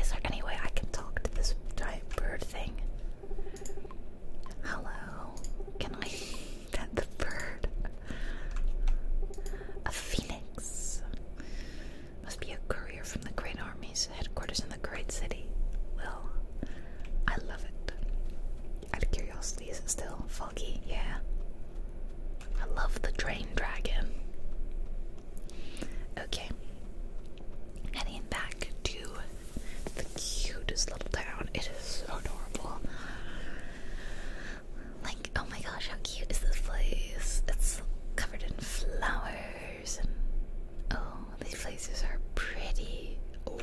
Is there any way I can talk to this giant bird thing? Hello, can I pet the bird? A phoenix. Must be a girl courier from the great army's headquarters in the great city. Well, I love it. Out of curiosity, still foggy? Yeah. I love the drain dragon. Okay. Heading back to the cutest little town. It is adorable. Like, oh my gosh, how cute is this place? It's covered in flowers oh these places are pretty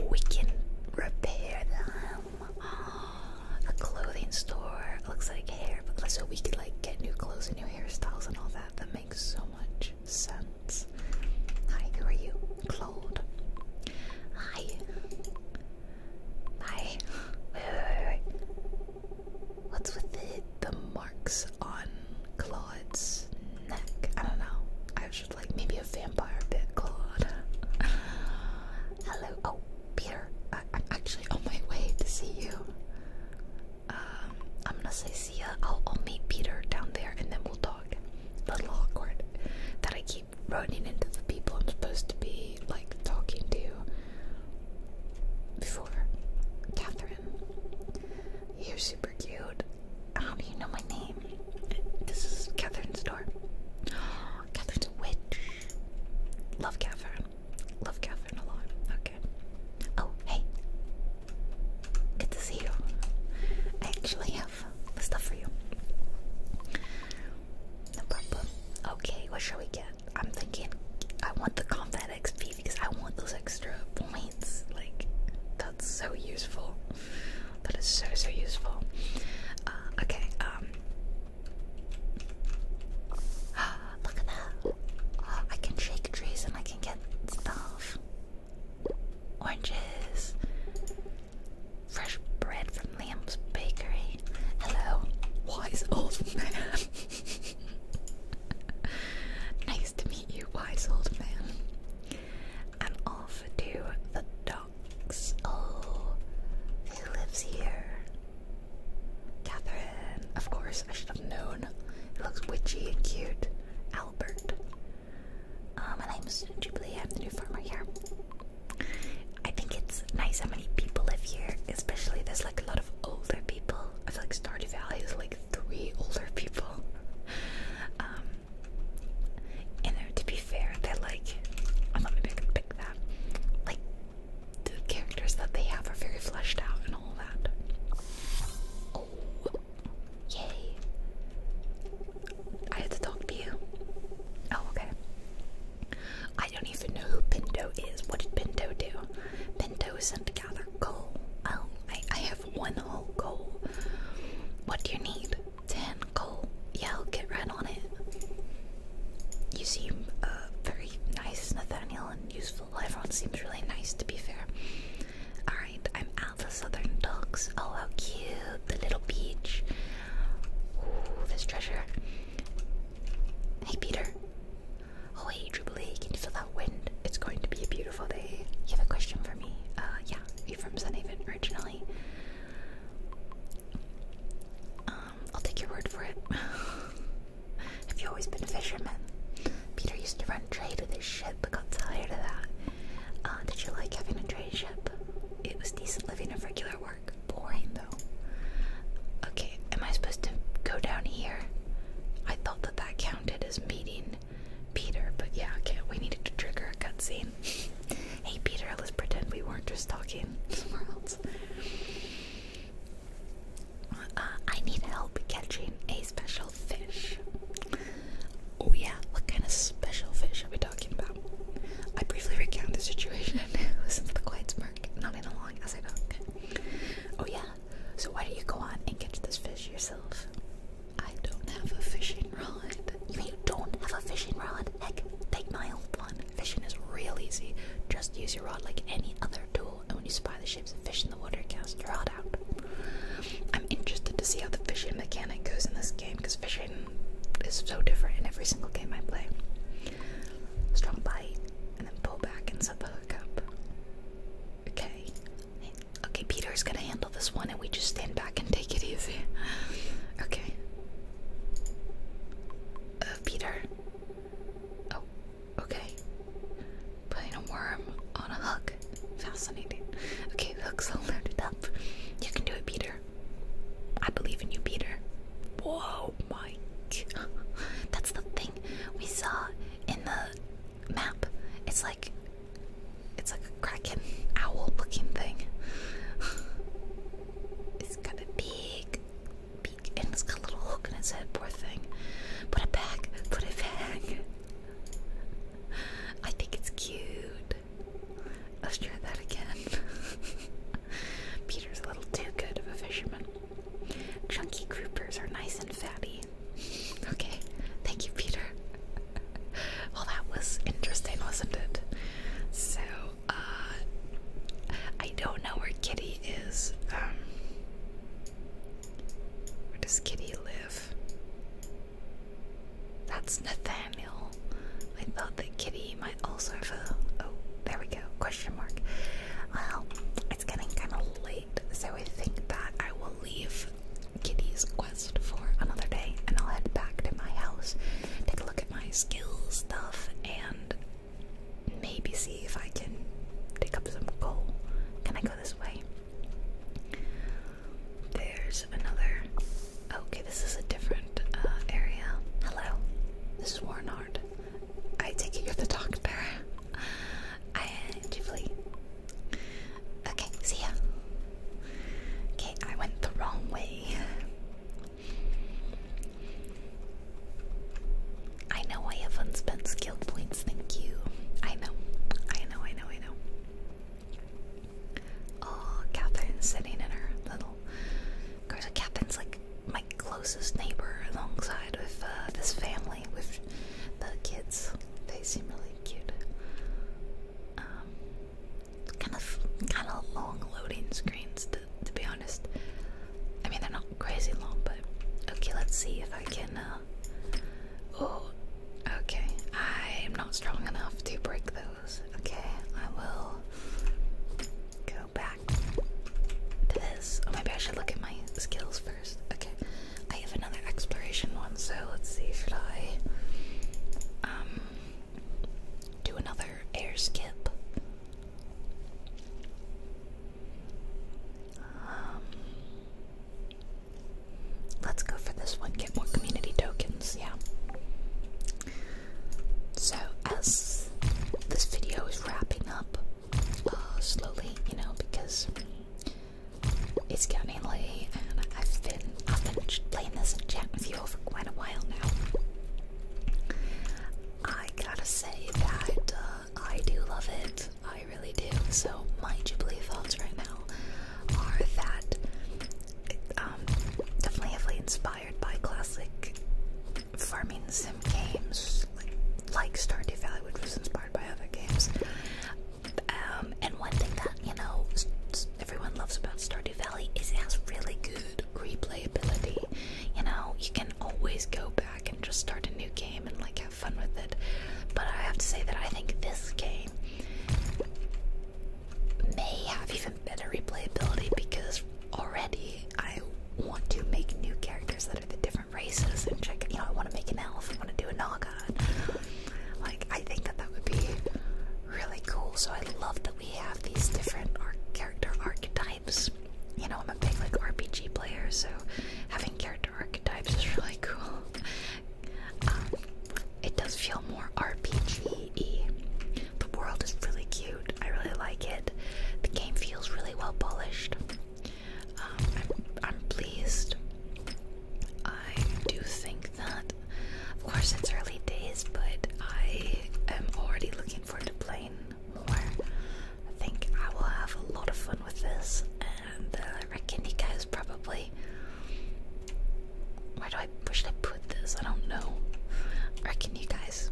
we can repair them oh, the clothing store looks like hair but so we could like get new clothes and new hairstyles and all that that makes so much sense hi who are you Claude hi hi what's with the the on Claude's neck. I don't know. I was like, maybe a vampire bit Claude. Hello. Oh, Peter. I am actually on my way to see you. Um, I'm gonna say see ya. I'll, I'll meet Peter down there and then we'll talk. A little awkward that I keep running into the people I'm supposed to be like talking to before Catherine. You're super cute. How do you know my name? This is Catherine's door. Catherine's a witch. Love Catherine. Love Catherine a lot. Okay. Oh, hey. Good to see you. I actually have stuff for you. No problem. Okay, what shall we get? I'm thinking I want the confetti XP because I want those extra points. Like, that's so useful. That is so, so useful. Uh, okay, um. Look at that. Oh, I can shake trees and I can get stuff. Oranges. Fresh bread from Liam's bakery. Hello, wise old man. nice to meet you, wise old man. I'm off to the docks. Oh, who lives here? Catherine. Of course, I should have known. It looks witchy and cute. Albert. Um, my name is Jubilee. I'm the new farmer here. I think it's nice how many people live here, especially there's like a lot of older people. I feel like Stardew Valley is like three older people. Um, and to be fair, that like, I'm pick that. Like, the characters that they have are very fleshed out and all that. Oh, yay! I had to talk to you. Oh, okay. I don't even know who Pinto is. What did Pinto do? Pinto sent to gather coal. Oh, I, I one whole coal. What do you need? Ten coal. Yeah, I'll get right on it. You seem uh, very nice, Nathaniel, and useful. Everyone seems really nice, to be fair. Alright, I'm out the southern docks. Oh, how cute. The little beach. Ooh, this treasure. Hey, Peter. Oh, hey, Jubilee, can you feel that wind? It's going to be a beautiful you have a question for me? Uh, yeah, you from Sunhaven originally. Um, I'll take your word for it. have you always been a fisherman? Peter used to run trade with his ship, but got tired of that. Uh, did you like having a trade ship? It was decent living of regular work. Boring though. Okay, am I supposed to go down here? I thought that that counted as meeting Peter, but yeah, okay, we needed to trigger a cutscene. hey Peter, let's pretend we weren't just talking somewhere else. Uh, I need help catching a special fish. Oh yeah, what kind of special fish are we talking about? I briefly recount the situation. Listen to the quiet smirk, nodding along as I talk. Oh yeah, so why don't you go on and catch this fish yourself? I don't have a fishing rod. You mean you don't have a fishing rod? Heck, take my old one. Fishing is real easy. Just use your rod like any other tool, and when you spy the shapes of fish in the water, cast your rod out. I'm interested to see how the fishing mechanic goes in this game, because fishing is so different in every single game I play. Strong bite, and then pull back and set the hook up. Okay, Okay, Peter's gonna handle this one and we just stand back and take it easy. Okay. Uh, Peter. Oh, okay. Putting a worm on a hook. Fascinating. Okay, hook's all loaded up. You can do it, Peter. I believe in you, Peter. Whoa, my. That's the thing we saw in the map. It's like it's like a kraken owl looking thing. it's got a big beak and it's got a little hook in its head, poor thing. Put it back, put it back. I think it's cute. Let's try that again. Peter's a little too good of a fisherman. Chunky groupers are nice and fatty. Okay, thank you, Peter. well, that was interesting, wasn't it? So, uh, I don't know where Kitty is. Um, where does Kitty live? That's Nathaniel. I thought that Kitty might also have a. Oh, there we go. Question mark. Well, it's getting kind of late, so I think that I will leave Kitty's quest for another day, and I'll head back to my house, take a look at my skills stuff, and maybe see if I can pick up some gold. Can I go this way? There's another. Okay, this is a different uh, area. Hello, this is Warnard. I take it you're the doctor. I, Ghibli. Okay, see ya. Okay, I went the wrong way. I know I have unspent skill points, thank you. I know, I know, I know, I know. Oh, Catherine's sitting in her little. Of course, Catherine's like my closest neighbor alongside with uh, this family, with the kids. They seem really cute. Um, kind of kind of long loading screens to be honest. I mean they're not crazy long, but okay. Let's see if I can. Uh, oh, okay. I'm not strong enough to break those. Okay, I will go back to this. Oh, maybe I should look at my skills first. Okay, I have another exploration one so let's see, should I um, do another air skip? Um, let's go for this one, get more community tokens, yeah. So, as this video is wrapping up uh, slowly, you know, because it's getting late, and I've been I've been playing this and chatting with you for quite a while now. I gotta say that uh, I do love it. I really do. So my Jubilee thoughts right now are that um definitely heavily inspired by classic farming sim games like, like Stardew Valley, which was inspired by other games. Um, and one thing that you know everyone loves about Stardew Valley is it has really good replayability. You know, you can always go back and just start a new game and like have fun with it. But I have to say that I think this game may have even better replayability because already I want to make new characters that are the different races and check. You know, I want to make an elf. I want to do a Naga. Like I think that that would be really cool. So I love that we have these different character archetypes. You know, I'm a big like RPG player, so having character archetypes is really cool. Um, it does feel more RPG-y. The world is really cute. I really like it. The game feels really well polished. Um, I'm pleased. I do think that of course, it's early days, but I am already looking forward to playing more. I think I will have a lot of fun with this, and uh, I reckon you guys probably. Where do I? Where should I put this? I don't know. I reckon you guys.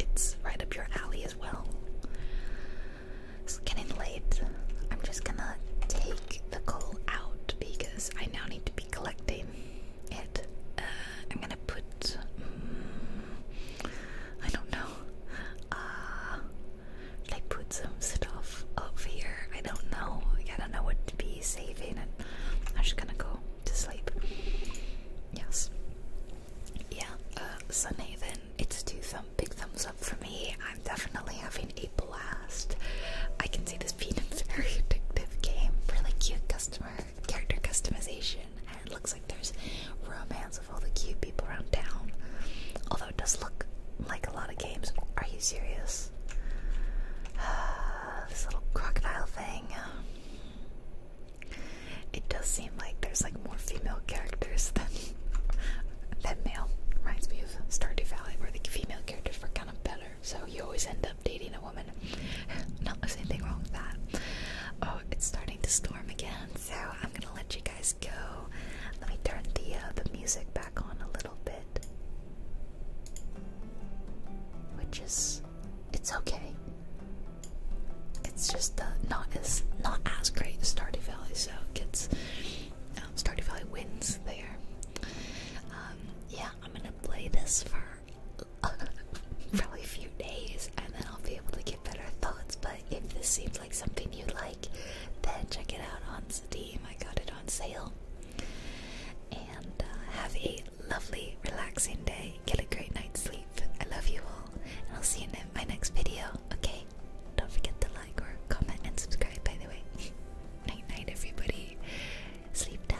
It's right up your alley as well. It's getting late. I'm just gonna take the coal out because I now need to be collecting it. Uh, I'm gonna put. Mm, I don't know. Uh, should put some stuff up here? I don't know. I don't know what to be saving, and I'm just gonna go to sleep. Yes. Yeah, uh, Then it's two thumbs big thumbs up for me. I'm definitely having a blast. I can see this has a very addictive game. Really cute customer character customization. it looks like there's romance of all the cute people around town. Although it does look like a lot of games. Are you serious? this little crocodile thing. Uh, it does seem like there's like more female characters than than male. Reminds me of Stardew Valley, where the female characters were kind of better. So you always end up dating a woman. Not there's anything wrong with that. Oh, it's starting to storm again, so I'm gonna let you guys go. Let me turn the uh, the music back on a little bit, which is it's okay. It's just uh, not as not as great as Stardew Valley, so it gets um, Stardew Valley wins there. Um, yeah, I'm gonna play this for probably a few days and then I'll be able to get better thoughts. But if this seems like something you like, then check it out on Steam. I got it on sale. And uh, have a lovely, relaxing day. Get a great night's sleep. I love you all, I'll see you in my next video. Okay? Don't forget to like or comment and subscribe, by the way. night night, everybody. Sleep tight.